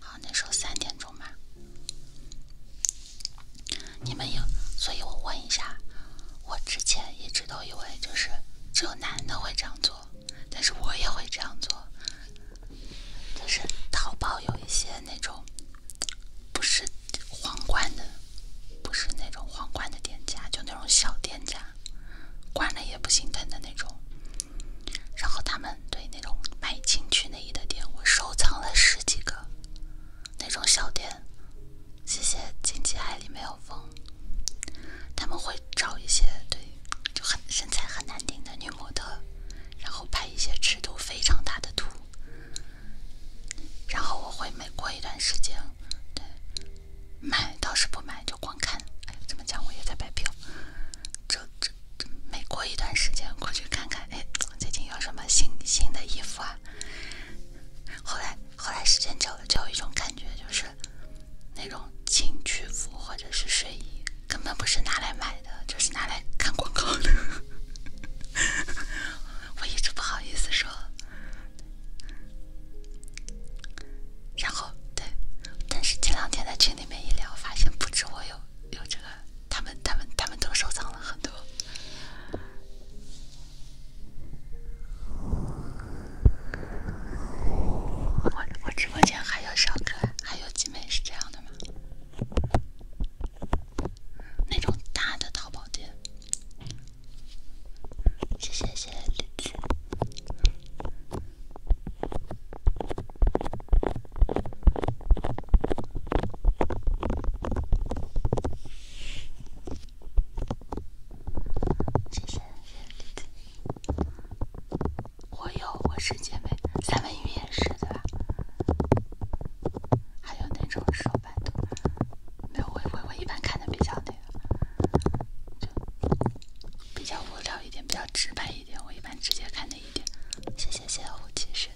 好那时候三点钟吧。你们有，所以我问一下，我之前一直都以为就是只有男的会这样做，但是我也会这样做。就是淘宝有一些那种不是皇冠的。不是那种皇冠的店家，就那种小店家，关了也不心疼的那种。然后他们对那种卖情趣内衣的店，我收藏了十几个那种小店。谢谢经济海里没有风。他们会找一些对就很身材很难顶的女模特，然后拍一些尺度非常大的图。然后我会每过一段时间，对。买倒是不买，就光看。哎，怎么讲我也在白嫖。这这这，每过一段时间过去看看，哎，最近有什么新新的衣服啊？后来后来时间久了，就有一种感觉，就是那种情趣服或者是睡衣，根本不是拿来买的，就是拿来看广告的。<laughs> 我一直不好意思说。然后，对，但是前两天在群里面一聊，发现不止我有有这个，他们他们他们都收藏了很多。我我直播间还有小可爱，还有姐妹是这样的吗？那种大的淘宝店。谢谢谢谢我有，我是姐妹，三文鱼也是的，还有那种手摆图，没有我我我一般看的比较比较无聊一点，比较直白一点，我一般直接看那一点。谢谢谢火精神，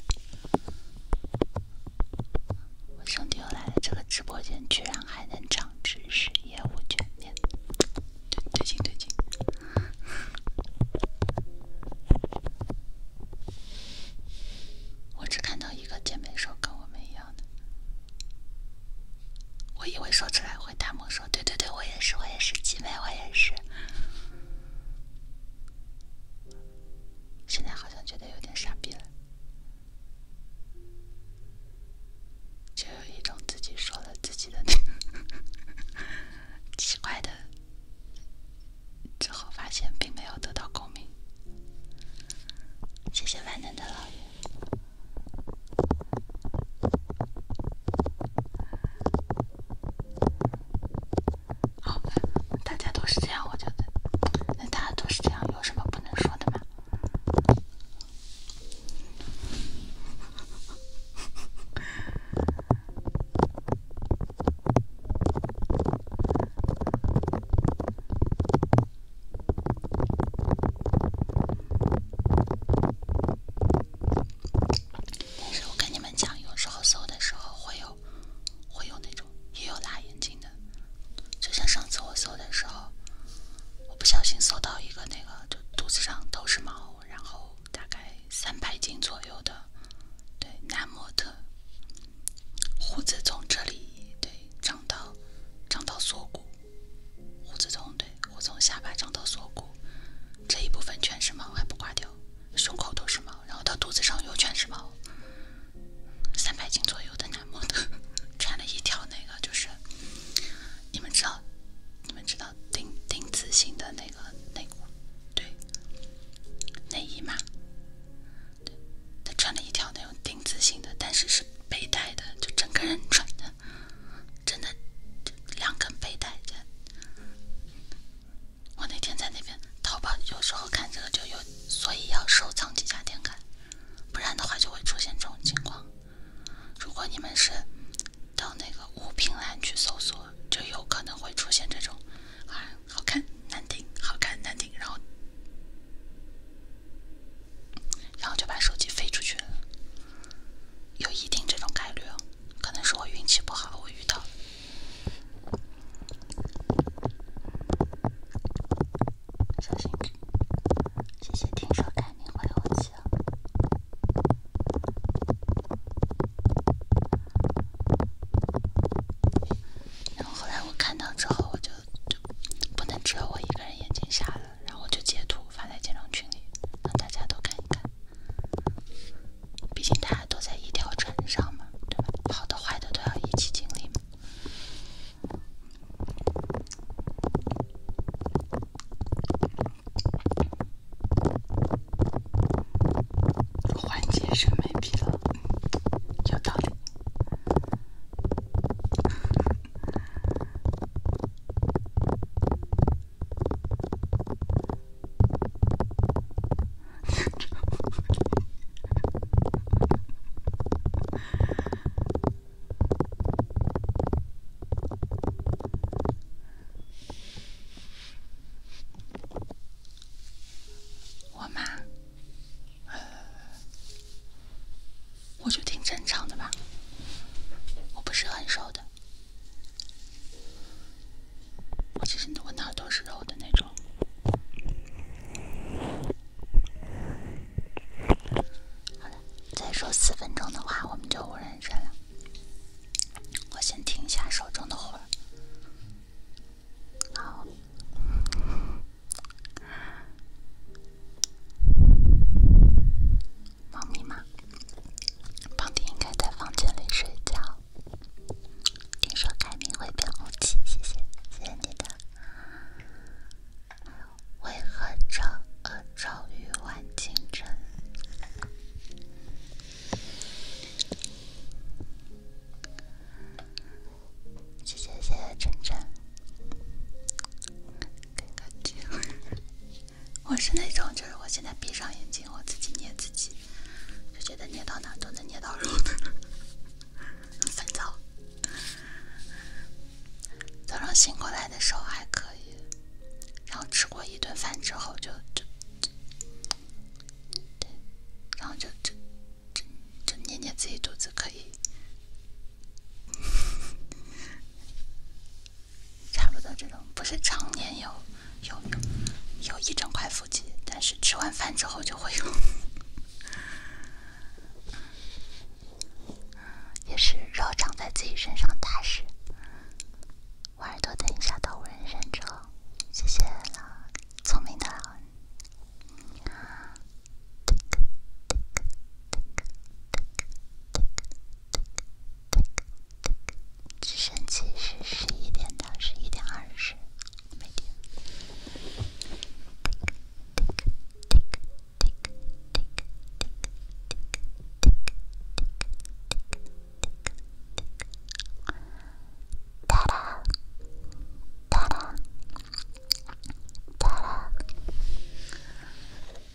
我兄弟又来了，这个直播间居然还能涨知识，业务全面，对劲对劲。我只看到一个姐妹说跟我们一样的。我以为说出来会弹幕说，对对对，我也是，我也是姐妹，我也是。现在好像觉得有点傻逼了，就有一种自己说了自己的 <laughs> 奇怪的，之后发现并没有得到共鸣。谢谢万能的老爷。好大家都是这样，我觉得，那大家都是这样，有什么不能说的吗？但是我跟你们讲，有时候搜的时候会有，会有那种也有辣眼睛的。就像上次我搜的时候，我不小心搜到一个那个，就肚子上都是毛，然后大概三百斤左右的，对男模特，胡子从这里对长到长到锁骨。胡子从对，胡子从下巴长到锁骨，这一部分全是毛还不刮掉，胸口都是毛，然后到肚子上又全是毛，三百斤左右的男模特穿了一条那个就是，你们知道，你们知道钉钉子型的那个内裤，对，内衣嘛，他穿了一条那种挺自信的，但是是背带的，就整个人穿的真的两根背带。我那天在那边淘宝，有时候看这个就有，所以要收藏几家店看，不然的话就会出现这种情况。如果你们是到那个物品栏去搜索，就有可能会出现这种啊，好看难听，好看难听，然后。然后就把手机飞出去了，有一定这种概率，可能是我运气不好，我遇到。小谢谢听书改名回我然后后来我看到之后，我就就不能只有我一个人眼睛瞎了。然后就截图发在家长群里，让大家都看一看。毕竟大家都在一条船上嘛，对吧？好的坏的都要一起经历嘛。缓审美疲劳，有道理。我吗？我就挺正常的吧，我不是很瘦的，我其实我哪儿都是肉的那种。好了，再说四分钟的话我们就无人声了，我先听一下手中的活儿。好。猫咪吗？胖迪应该在房间里睡觉。听说改名会变空气，谢谢，谢谢你的。为何朝朝与晚清晨？谢谢谢谢晨晨。感觉，<laughs> 我是那种，就是我现在闭上眼睛，我自己捏自己，就觉得捏到哪都能捏到肉的。<laughs> 烦躁，早上醒过来的时候还可以，然后吃过一顿饭之后就就就，然后就就就就捏捏自己肚子可以。<laughs> 差不多这种不是常年有有有有一整块腹肌，但是吃完饭之后就会有，也是肉长在自己身上大事。我耳朵等一下都无人认中，谢谢聪明的。直升机是十一点到十一点二十。哒啦，哒啦，哒啦。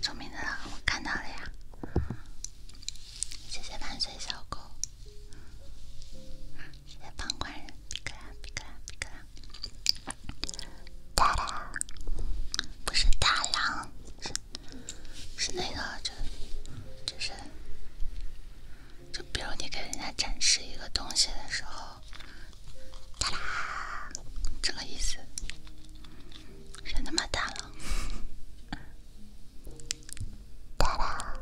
聪明的狼看到了呀！谢谢万岁小狗，谢谢旁观人，皮卡不是大狼，是那个，就就是。就比如你给人家展示一个东西的时候，哒啦，这个意思。声他妈大了，哒啦，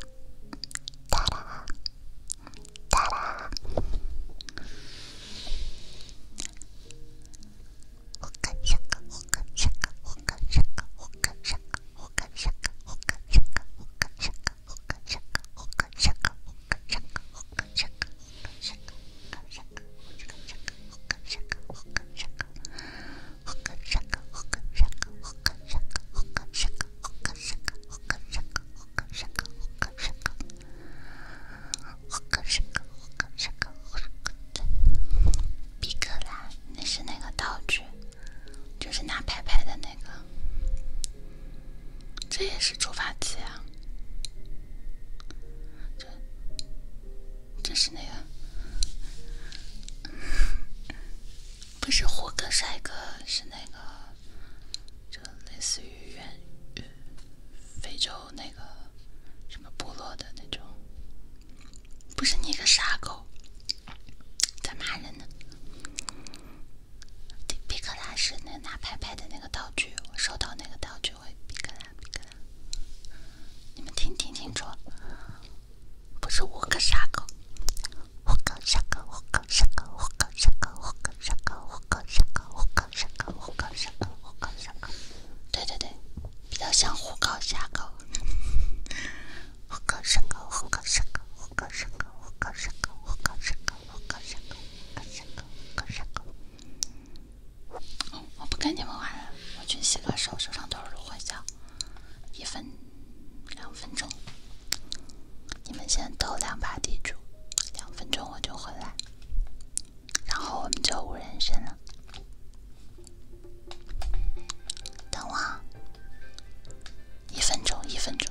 哒啦，哒啦。
好个下个，好个个，好个个
就是拿牌牌的那个，这也是触发器啊！这，这是那个，不是胡哥帅哥，是那个，就类似于原，非洲那个什么部落的那种。不是你个傻狗，在骂人呢。比克拉是那拿拍拍的那个道具，我收到那个道具会比克拉比克拉。你们听听清楚，不是我个傻狗，我哥傻狗，我哥傻狗，我哥傻狗，我哥傻狗，我哥傻狗，我哥傻狗，我哥傻狗，我哥傻狗，虎哥傻狗。对对对，比较像虎哥傻狗，我哥傻狗，我哥傻狗，我哥傻狗，我哥傻狗，我哥傻狗。五个五个五个五个！我不跟你们玩了，我去洗个手，手上都是芦荟一分两分钟，你们先斗两把地主，两分钟我就回来，然后我们就无人剩了。等我，一分钟，一分钟。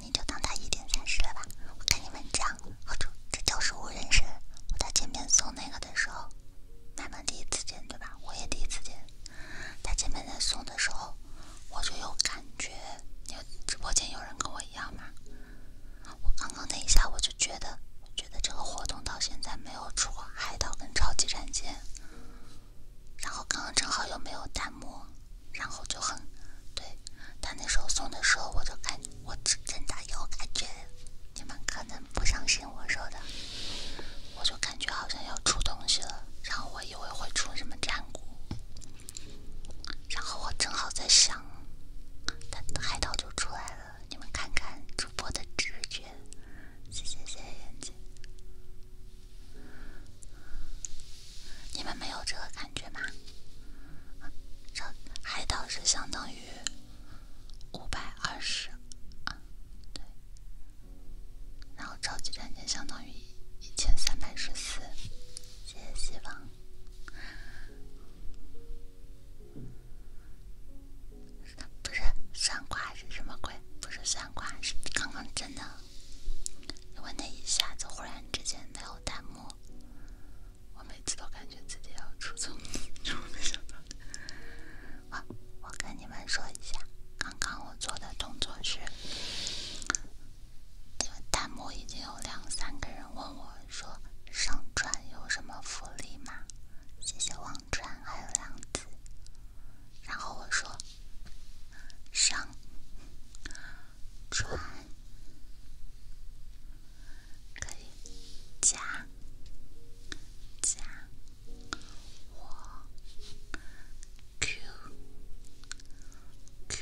你就当他一点三十了吧，我看你们这样，好丑，这就是我人声。我在前面送那个的时候，他们第一次见对吧？我也第一次见。他前面在送的时候，我就有感觉，有直播间有人跟我一样嘛？我刚刚那一下我就觉得，觉得这个活动到现在没有出过海岛跟超级战舰，然后刚刚正好又没有弹幕。然后就很，对他那时候送的时候，我就感，我真真的有感觉，你们可能不相信我说的，我就感觉好像要出东西了，然后我以为会出什么战鼓，然后我正好在想，他海盗就出来了，你们看看主播的直觉，谢谢谢谢眼姐，你们没有这个感觉吗？超海岛是相当于五百二十啊，对。然后超级战舰相当于一千三百十四。谢谢希望。不是算卦是什么鬼？不是算卦，是刚刚真的。因为那一下子，忽然之间没有弹幕。我每次都感觉自己要出错，<laughs> 我跟你们说一下，刚刚我做的动作是，弹幕已经有两三个人问我说，上船有什么福利吗？谢谢王川，还有梁子。然后我说，上船。可以加加我 Q Q，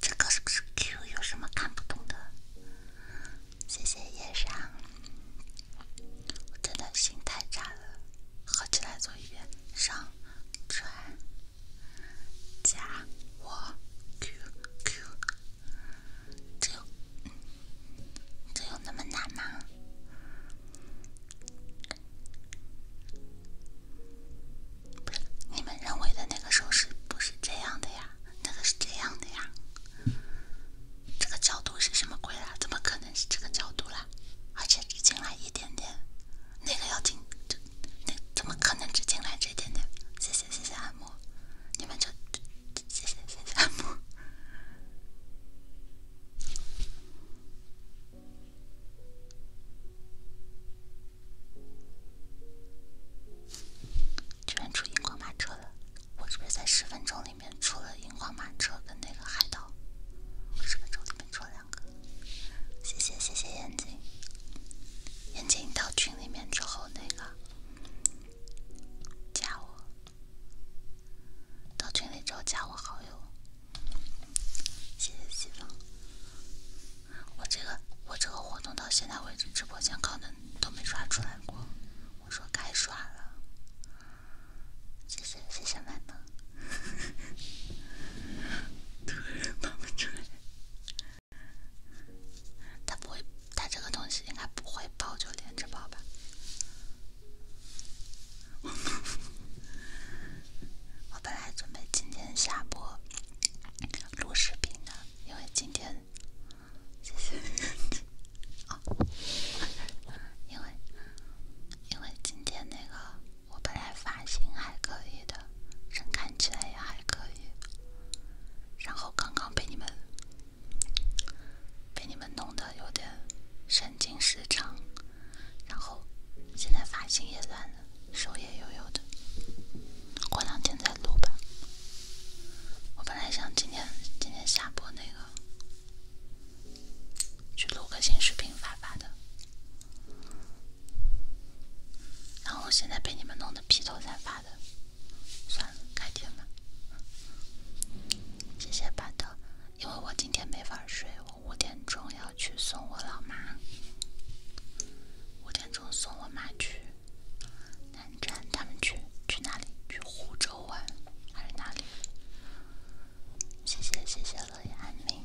这个是 Q 有什么看不懂的？谢谢叶上，我真的心太差了。合起来做一遍，上传。加我 QQ，这有这有那么难吗？不是你们认为的那个手势不是这样的呀，那个是这样的呀。这个角度是什么鬼啊？怎么可能是这个角度啦？而且只进来一点点。那个要进，就那怎么可能只进来这点点？谢谢谢谢按摩，你们就谢谢谢谢按摩。居然出荧光马车了，我是不是在十分钟里面出了荧光马车跟那个海盗？十分钟里面出了两个，谢谢谢谢眼睛。眼睛到群里面之后，那个加我，到群里之后加我好友，谢谢西风。我这个我这个活动到现在为止，直播间可能都没刷出来过，我说该刷了。谢谢谢谢，妹妹。突然发不出来。他不会，他这个东西应该不会爆，就连着爆吧。<laughs> 我本来准备今天下播录视频的，因为今天谢谢哦，因为因为今天那个我本来发型还可以的，人看起来也还可以。然后刚刚被你们被你们弄得有点神经失常，然后现在发型也乱了，手也悠悠的，过两天再录吧。我本来想今天今天下播那个去录个新视频发发的。然后现在被你们弄得披头散发的，算了，改天吧。谢谢班德，因为我今天没法睡，我五点钟要去送我老妈。五点钟送我妈去南站，他们去去哪里？去湖州玩还是哪里？谢谢谢谢乐意安宁。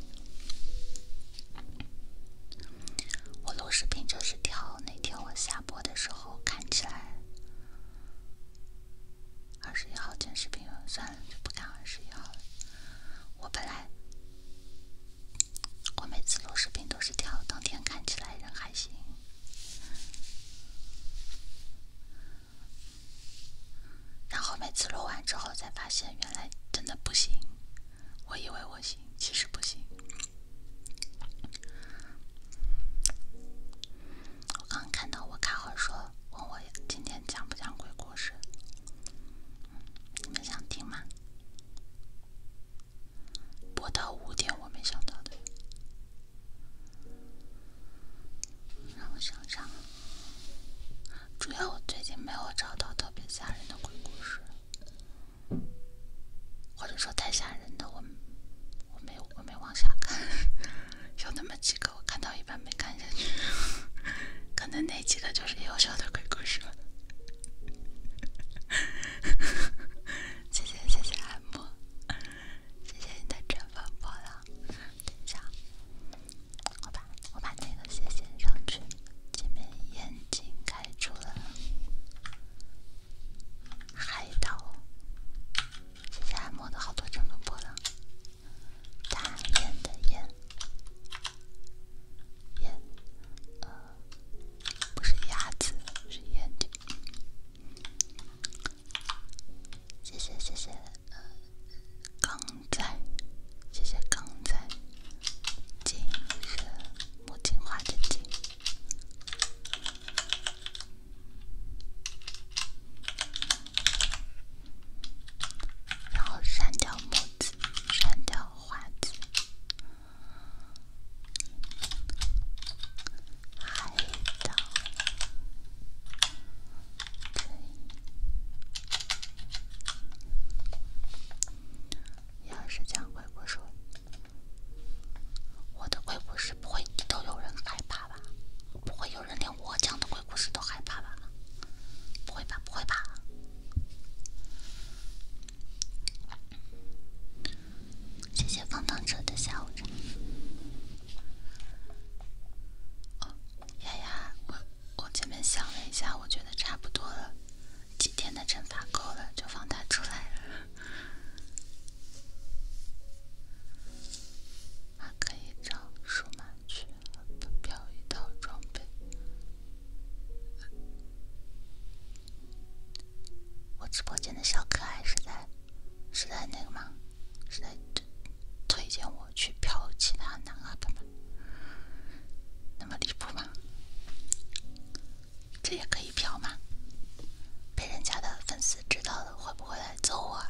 我录视频就是挑那天我下播的时候看起来。二十一号剪视频算了，就不看二十一号了。我本来，我每次录视频都是挑当天看起来人还行，然后每次录完之后才发现原来真的不行。我以为我行，其实不行。我刚看到我卡号说问我今天讲不讲鬼故事？你们想听吗？播到五点，我没想到的。让我想想，主要我最近没有找到特别吓人的鬼故事。或者说太吓人的，我我没我没往下看，有那么几个我看到一半没看下去，<laughs> 可能那几个就是优秀的鬼故事了。<laughs> 谢谢谢谢按谢谢你的乘风破浪。等一下，我把我把那个先先上去。前面眼睛开出了海岛，按摩的好多乘风破浪，大雁的雁，呃，不是鸭子，是谢谢谢谢，呃，刚在，谢谢刚在，金色。墨镜、花镜，然后删掉墨字，删掉花字，要是讲鬼故事，我的鬼故事不会都有人害怕吧？不会有人连我讲的鬼故事都害怕吧？不会吧，不会吧。谢谢放荡者下午茶。哦，丫丫，我我前面想了一下，我觉得差不多了。几天的惩罚够了，就放他出来了。可以找收马去，不一套装备。我直播间的小可爱是在是在那个吗？是在推荐我去飘其他哪个版本？那么离谱吗？这也可以嫖吗？被人家的粉丝知道了会不会来揍我？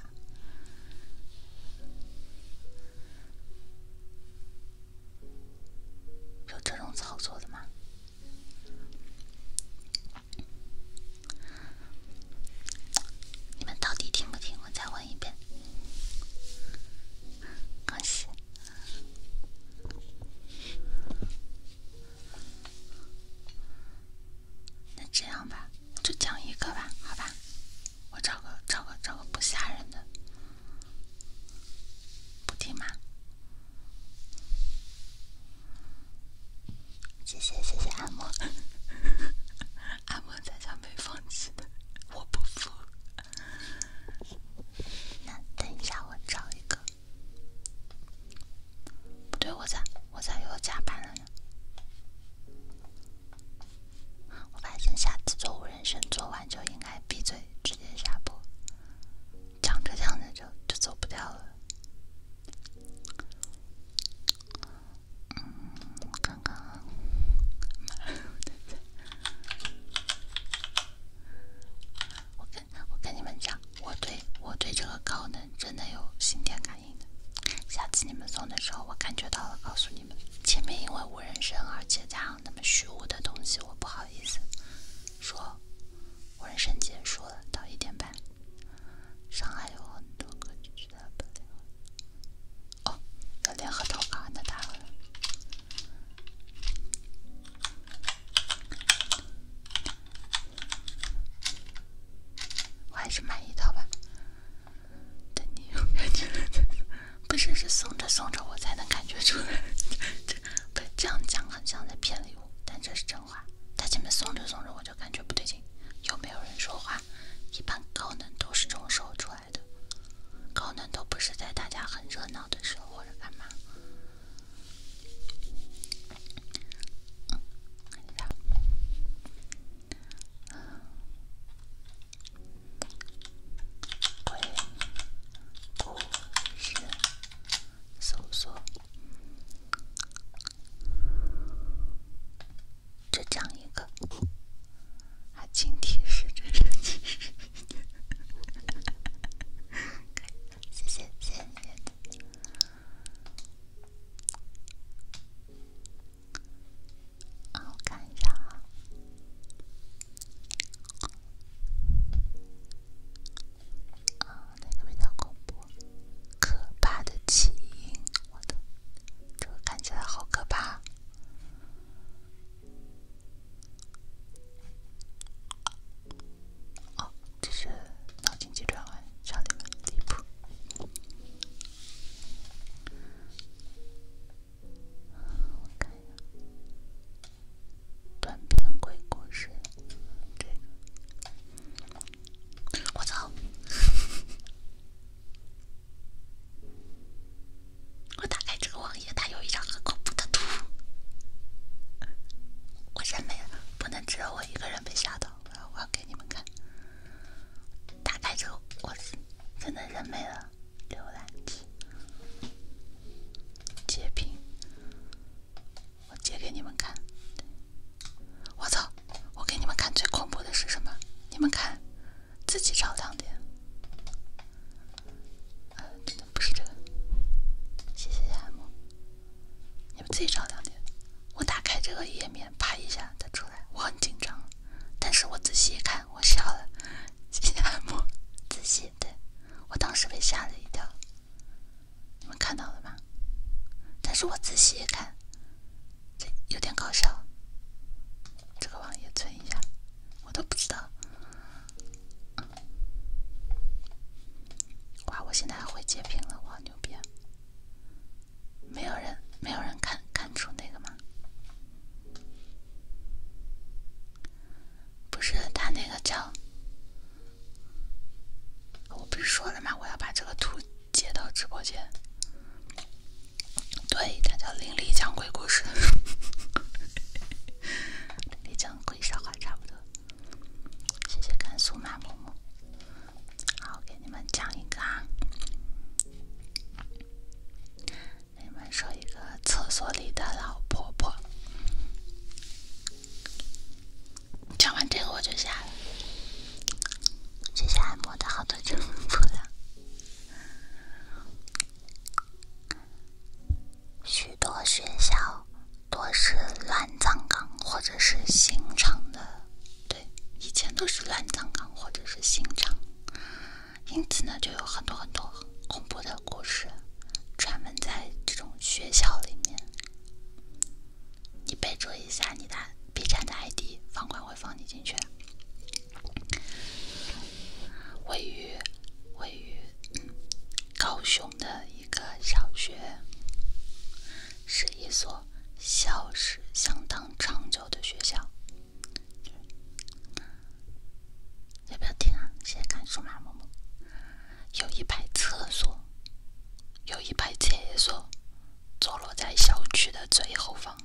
有这种操作的吗？你们到底听不听？我再问一遍。恭喜。那这样吧，就讲一个吧，好吧？我找个找个找个不吓人的，不听吗？谢谢谢谢按摩，按摩才叫没放弃的，我不服。那等一下，我找一个。不对，我咋我咋又加班了呢？我发现下次做无人生做完就应该闭嘴，直接下播。讲着讲着就就走不掉了。我跟你们讲，我对我对这个高能真的有心电感应的。下次你们送的时候，我感觉到了，告诉你们。前面因为无人声，而且加上那么虚无的东西，我不好意思说。我人生结束了，到一点半。上海有很多歌曲的伴奏。哦，要联合投稿，那当然。我还是买一套吧。等你有感觉了再不是是送着送着我才能感觉出来。不这样讲，很像在骗礼物，但这是真话。他前面送着送着我就感觉不对劲。有没有人说话？一般高能都是这种时候出来的，高能都不是在大家很热闹的时候或者干嘛。鬼谷神搜索，再讲一个。还请提示，这是提示。谢谢谢谢啊！我看一下啊，啊，哪个比较恐怖？可怕的起因，我的这个看起来好可怕。哦，这是脑筋急转弯，上头第一步。我看一下短篇鬼故事，这个。我操！<laughs> 我打开这个网。也，他有一张很恐怖的图，我人没了，不能只有我一个人被吓到，我要给你们看，打开之后，我真的人没了，浏览器截屏，我截给你们看，我操，我给你们看最恐怖的是什么？你们看，自己找当点。呃，不是这个，谢谢按摩。你们自己找两点。我打开这个页面，啪一下的出来，我很紧张。但是我仔细一看，我笑了。谢谢按摩。仔细对，我当时被吓了一跳。你们看到了吗？但是我仔细一看，这有点搞笑。这个网页存一下，我都不知道。哇！我现在还会截屏了，我好牛逼！没有人，没有人看看出那个吗？不是他那个叫……我不是说了吗？我要把这个图截到直播间。对他叫林丽讲鬼故事，林 <laughs> 讲鬼笑话差不多。谢谢甘肃麻木木，好，给你们讲一个啊，给你们说一个厕所里的老婆婆。讲完这个我就下了。谢谢按摩的好多祝福了。许多学校多是乱葬岗或者是刑场的，对，以前都是乱葬岗或者是刑场，因此呢，就有很多很多恐怖的故事，专门在这种学校里面。你备注一下你的 B 站的 ID，房管会放你进去。位于位于高雄。的一个小学，是一所校史相当长久的学校。要不要听啊？现在看书码某某。有一排厕所，有一排厕所，坐落在小区的最后方，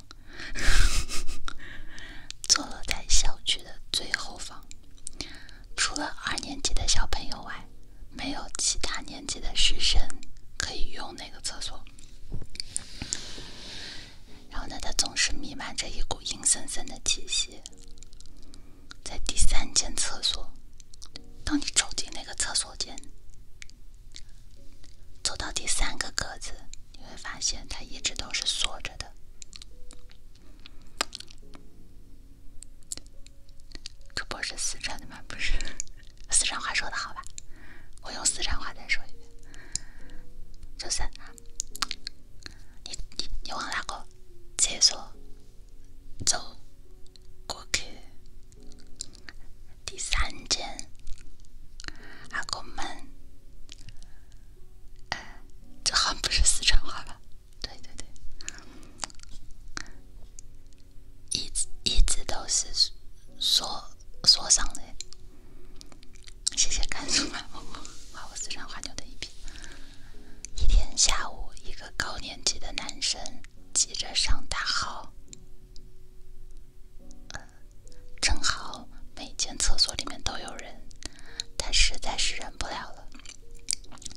<laughs> 坐落在小区的最后方。除了二年级的小朋友外，没有其他年级的学生可以用那个厕所。然后呢，它总是弥漫着一股阴森森的气息。在第三间厕所，当你走进那个厕所间，走到第三个格子，你会发现它一直都是锁着的。主播是四川的吗？不是，<laughs> 四川话说的好吧？我用四川话再说一遍，就是你你你往哪个厕所走过去？第三间，阿个们，这好像不是四川话吧？对对对，一直一直都是锁锁上的，谢谢看，甘肃万物花我四川话牛的一批。一天下午，一个高年级的男生急着上大号，正好每间厕所里面都有人，他实在是忍不了了。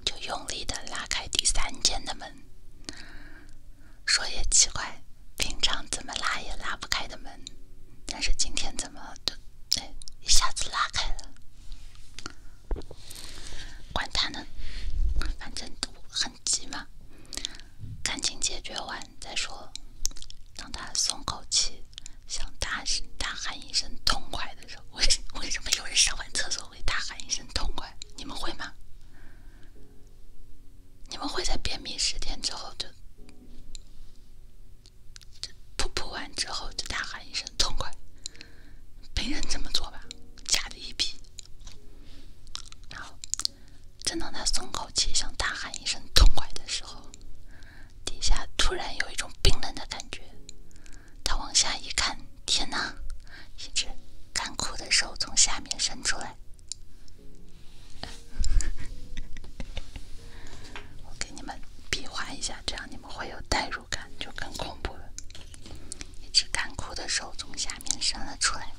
就用力的拉开第三间的门。说也奇怪，平常怎么拉也拉不开的门，但是今天怎么都哎，一下子拉开了。管他呢，反正都很急嘛，赶紧解决完再说。让他松口气，想大声大喊一声，痛快的。为为什么有人上完厕所会大喊一声痛快？你们会吗？你们会在便秘十天之后就噗噗完之后就大喊一声痛快？没人这么做吧？假的一批！好，正当他松口气想大喊一声痛快的时候，底下突然有一种冰冷的感觉。他往下一看，天哪！一只干枯的手从下面伸出来。<laughs> 我给你们比划一下，这样你们会有代入感，就更恐怖了。一只干枯的手从下面伸了出来。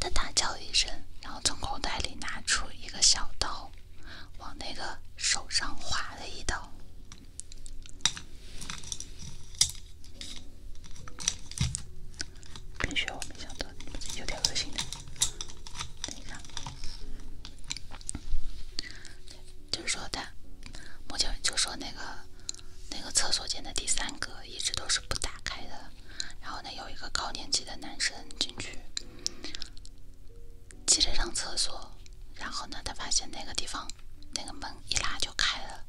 他大叫一声，然后从口袋里拿出一个小刀，往那个手上划了一刀。更血，我没想到，有点恶心的。等一下，就是说他，目前就说那个那个厕所间的第三个一直都是不打开的，然后呢，有一个高年级的男生进去。急着上厕所，然后呢，他发现那个地方那个门一拉就开了。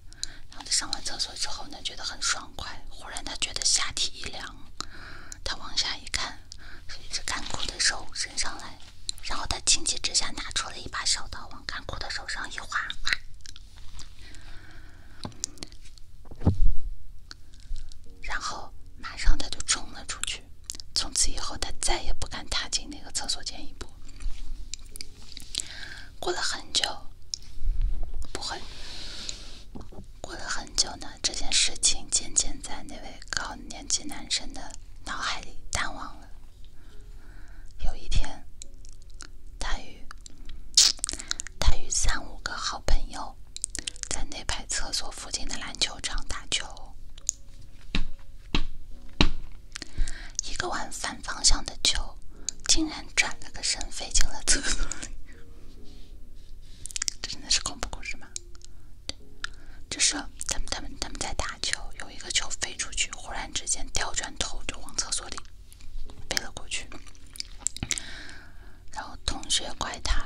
然后他上完厕所之后呢，觉得很爽快。忽然他觉得下体一凉，他往下一看，是一只干枯的手伸上来。然后他情急之下拿出了一把小刀，往干枯的手上一划，然后马上他就冲了出去。从此以后，他再也不敢踏进那个厕所间一步。过了很久，不会，过了很久呢，这件事情渐渐在那位高年级男生的脑海里淡忘了。有一天，他与他与三五个好朋友在那排厕所附近的篮球场打球。一个往反方向的球，竟然转了个身飞进了厕所里。这真的是恐怖故事吗？就是他们他们他们在打球，有一个球飞出去，忽然之间调转头就往厕所里飞了过去。然后同学怪他，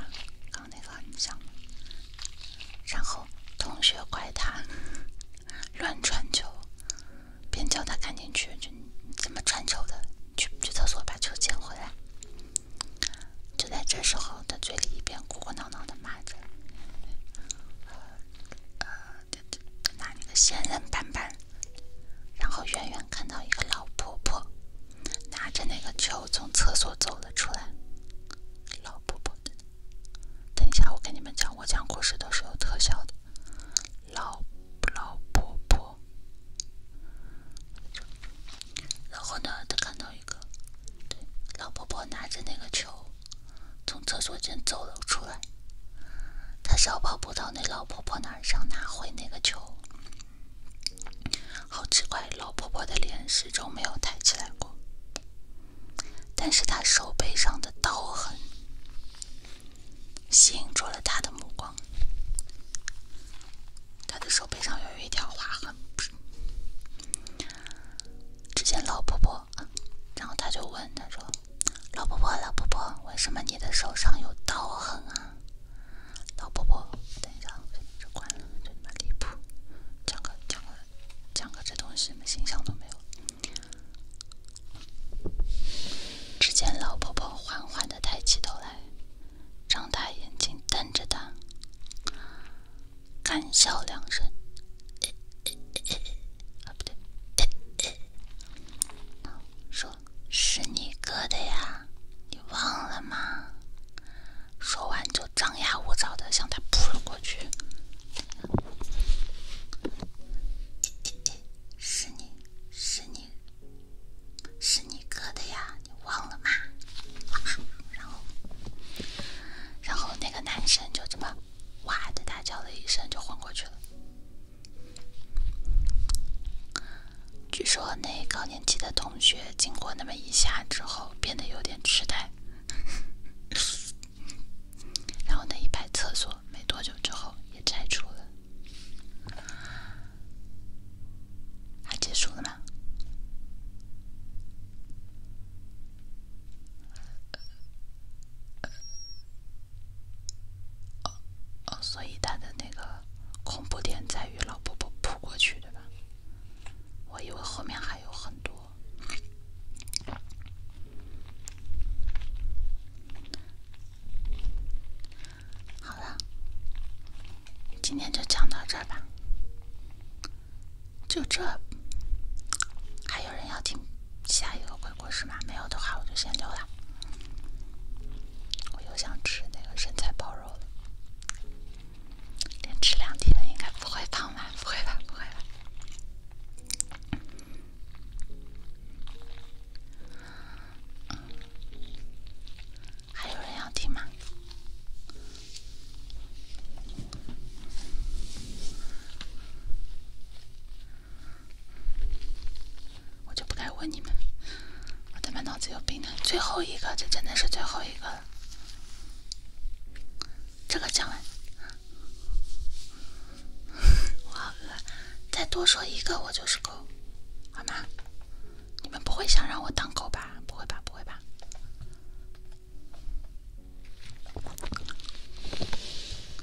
刚刚那个很像。然后同学怪他乱传球，边叫他赶紧去，就怎么传球的，去去厕所把球捡回来。就在这时候，他嘴里一边哭哭闹闹的骂着，呃，拿那个仙人板板，然后远远看到一个老婆婆拿着那个球从厕所走了出来，老婆婆的。等一下，我跟你们讲，我讲故事都是有特效的，老老婆婆。然后呢，他看到一个老婆婆拿着那个球，从厕所间走了出来。他小跑步到那老婆婆那儿，想拿回那个球。好奇怪，老婆婆的脸始终没有抬起来过。但是他手背上的刀痕吸引住了他的目光。他的手背上有一条划痕。之前老婆婆，然后他就问他说：“老婆婆，老婆婆，为什么你的手上有刀痕啊？”老婆婆，等一下，我先把这关了，这他妈离谱。讲个，讲个。讲个这东西，什么形象都没有。只见老婆婆缓缓的抬起头来，张大眼睛瞪着他，干笑两声，不对，说是你哥的呀，你忘了吗？说完就。张牙舞爪的向他扑了过去，是你是你是你哥的呀，你忘了吗？然后，然后那个男生就这么哇的大叫了一声，就昏过去了。据说那高年级的同学经过那么一下之后，变得有点痴呆。然后那一排厕所没多久之后也拆除了，还结束了吗？哦所以它的那个恐怖点在于老婆婆扑过去，对吧？我以为后面还有很多。好了，今天就讲到这儿吧。就这，还有人要听下一个鬼故事吗？没有的话，我就先溜了。我又想吃那个生菜包肉了，连吃两天应该不会胖吧？不会吧，不会吧。还有人要听吗？我就不该问你们，我他妈脑子有病呢！最后一个，这真的是最后一个了，这个讲完。<laughs> 我好饿，再多说一个我就是狗，好吗？你们不会想让我当狗吧？不会吧，不会吧。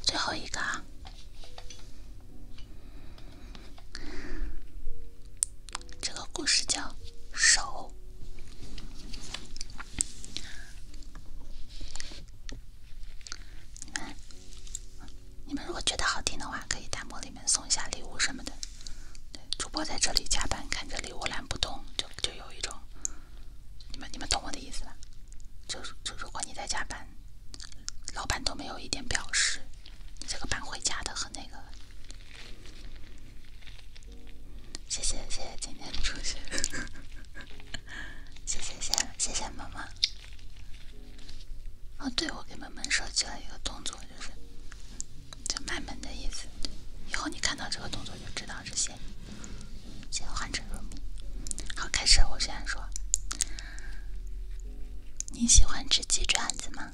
最后一个，这个故事叫手。你们，你们如果觉得好听的话，可以弹幕里面送一下礼物什么的。主播在这里加班，看着礼物栏不动，就就有一种，你们你们懂我的意思吧？就是就如果你在加班，老板都没有一点表示，你这个班会加的和那个。谢谢谢谢今天的出现，谢谢谢谢谢萌萌。哦对，我给萌萌设计了一个动作，就是就卖萌的意思。以后你看到这个动作就知道是谢，谢换成入蜜。好，开始我这样说：你喜欢吃鸡爪子吗？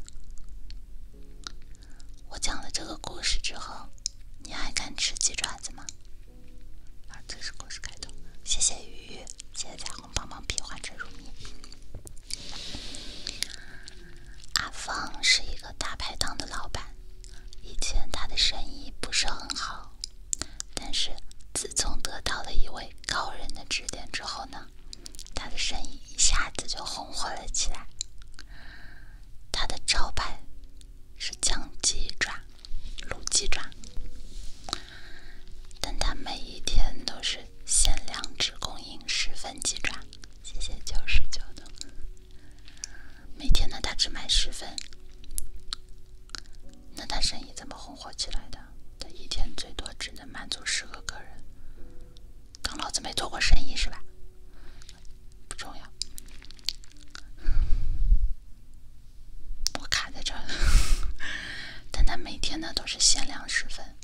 我讲了这个故事之后，你还敢吃鸡爪子吗？儿子是故事开头，谢谢鱼谢谢彩虹棒棒皮，幻成如蜜。阿芳是一个大排档的老板，以前他的生意不是很好，但是自从得到了一位高人的指点之后呢，他的生意一下子就红火了起来。他的招牌。是酱鸡爪，卤鸡爪，但他每一天都是限量只供应十份鸡爪。谢谢九十九的。每天呢，他只卖十份。那他生意怎么红火起来的？他一天最多只能满足十个客人。当老子没做过生意是吧？不重要，我卡在这儿了。但他每天呢都是限量十分，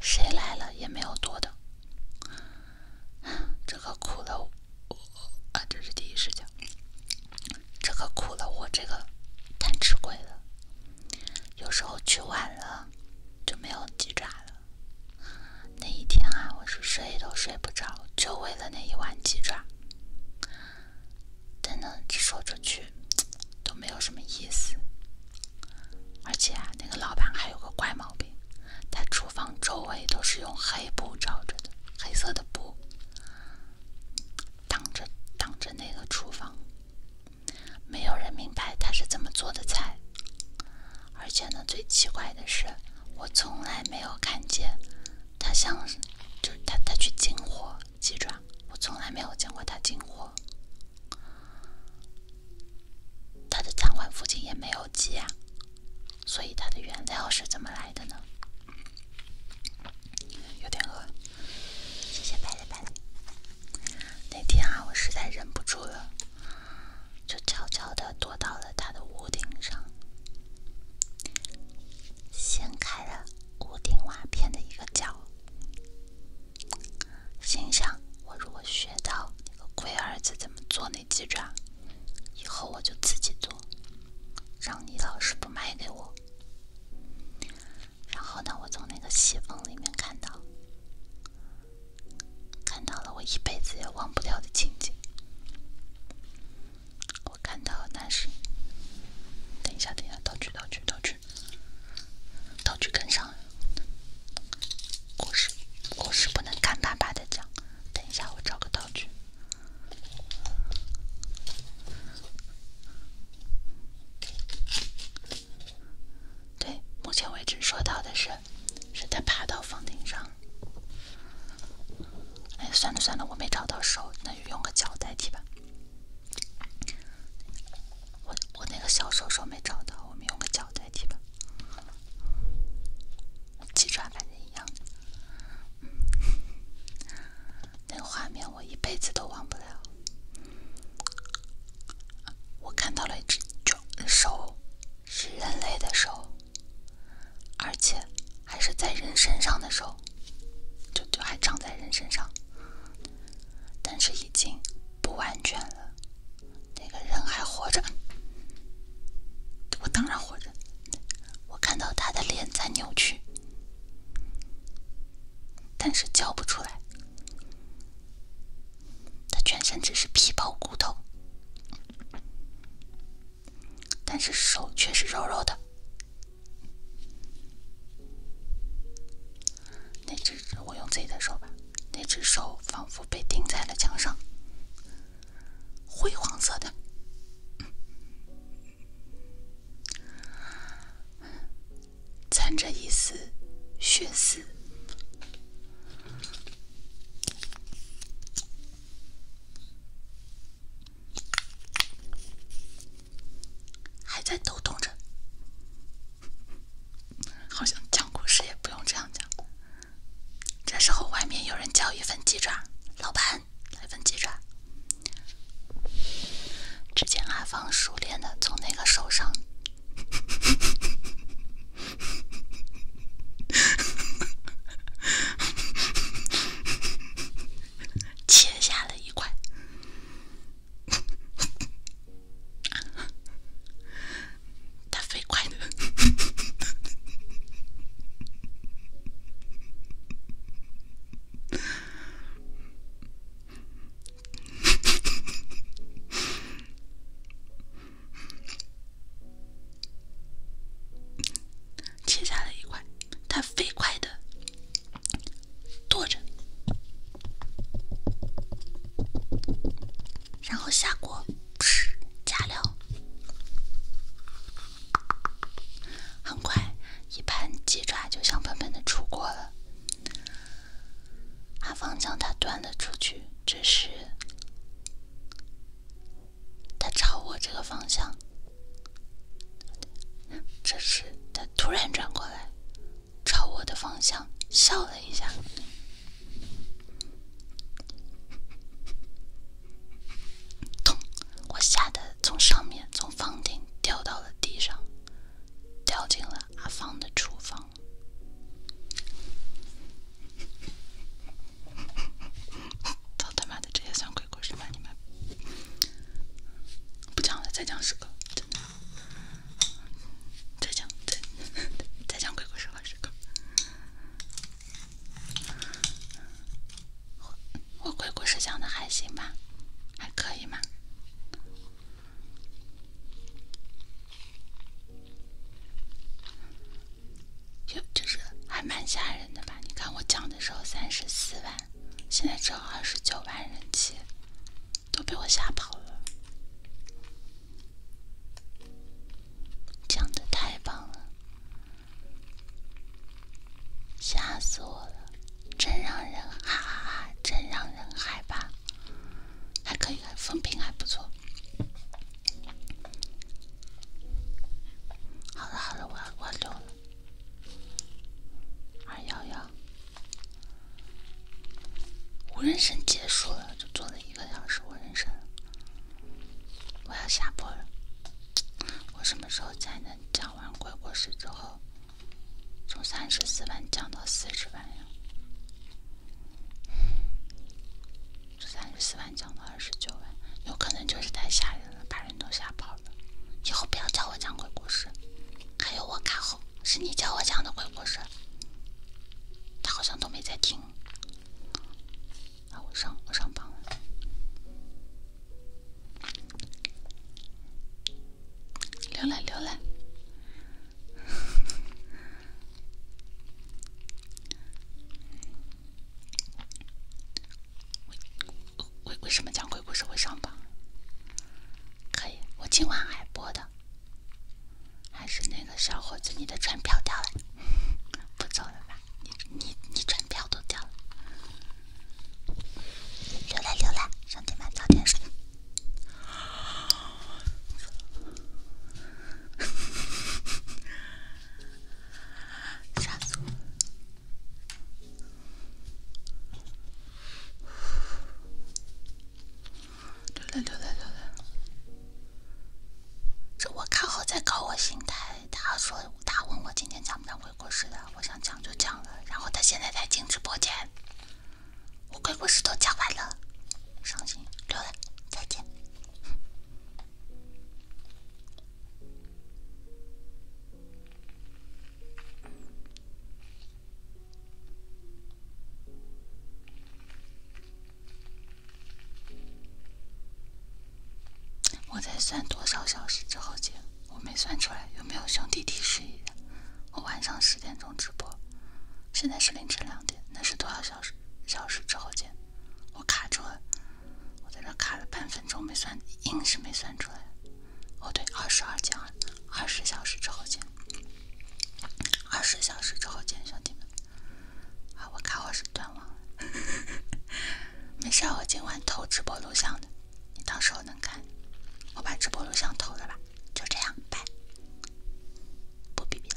谁来了也没有多的。这可苦了我啊！这是第一视角，这可苦了我这个贪吃鬼了。有时候去晚了就没有鸡爪了。那一天啊，我是睡都睡不着，就为了那一碗鸡爪。但呢，只说出去都没有什么意思。而且啊，那个老板还有个怪毛病，他厨房周围都是用黑布罩着的，黑色的布，挡着挡着那个厨房，没有人明白他是怎么做的菜。而且呢，最奇怪的是，我从来没有看见。他像是，就是他，他去进货鸡爪，我从来没有见过他进货。他的餐馆附近也没有鸡啊，所以他的原料是怎么来的呢？有点饿，谢谢拜了拜。那天啊，我实在忍不住了，就悄悄的躲到了他的屋顶上。掀开了屋顶瓦片的一个角，心想：我如果学到那个龟儿子怎么做那鸡爪，以后我就自己做，让你老师不卖给我。然后呢，我从那个信缝里面看到，看到了我一辈子也忘不掉的情景。我看到，但是等一下，等一下，道具，道具，道具，道具跟上。故事，故事不能干巴巴的讲。等一下，我找个道具。对，目前为止说到的是，是在爬到房顶上。哎，算了算了，我没找到手，那就用个脚代替吧。我我那个小手手没找到，我们用个脚代替吧。鸡爪反正一样。那个画面我一辈子都忘不了。我看到了一只脚，手是人类的手。而且还是在人身上的候，就就还长在人身上，但是已经不完全了。那个人还活着，我当然活着。我看到他的脸在扭曲，但是叫不出来。他全身只是皮包骨头。但是手却是柔柔的，那只我用自己的手吧，那只手仿佛被钉在了墙上，灰黄色的，掺着一丝血丝。还在抖动着，好像讲故事也不用这样讲。这时候外面有人叫一份鸡爪，老板来份鸡爪。只见阿芳熟练的从那个手上。切下了一块，他飞快的。切下了一块，他飞快的剁着，然后下锅，是加料，很快一盘鸡爪就香喷喷的出锅了。阿芳将它端了出去，这时。他朝我这个方向，这时他突然转过来，朝我的方向笑了一下，咚！我吓得从上面从房顶掉到了地上，掉进了阿芳的厨房。操 <laughs> 他妈的这也算。鬼故事吧，你们不讲了，再讲十个，再讲，再再讲鬼故事吧，十个。我鬼故事讲的还行吧，还可以吗？就就是还蛮吓人的吧，你看我讲的时候三十四万。现在只有二十九万人气，都被我吓跑了。讲的太棒了，吓死我了，真让人哈哈哈，真让人害怕。还可以，风评还不错。好了好了，我要我要溜了。二幺幺，我人生结束了，就做了一个小时，我人生，我要下播了。我什么时候才能讲完鬼故事之后，从三十四万降到四十万呀？从三十四万降到二十九万，有可能就是太吓人了，把人都吓跑。以后不要叫我讲鬼故事，还有我卡后是你叫我讲的鬼故事，他好像都没在听。啊，我上我上榜了，浏览浏览。为为为什么讲鬼故事会上榜？可以，我今晚还播的，还是那个小伙子，你的船票掉了，不走了吧？你你你船票都掉了，留了留了，兄弟们早点睡，<laughs> 溜了溜了这我看好在搞我心态。他说他问我今天讲不讲鬼故事的，我想讲就讲了。然后他现在才进直播间，我鬼故事都讲完了，伤心溜了，再见。我在算多少小时之后见，我没算出来，有没有兄弟提示一下？我晚上十点钟直播，现在是凌晨两点，那是多少小时？小时之后见，我卡住了。我在这卡了半分钟没算，硬是没算出来。哦，对，二十二减二，二十小时之后见。二十小时之后见，兄弟们。啊，我卡我是断网了，<laughs> 没事我今晚投直播录像的，你到时候能看。我把直播录像投了吧，就这样，拜。不逼逼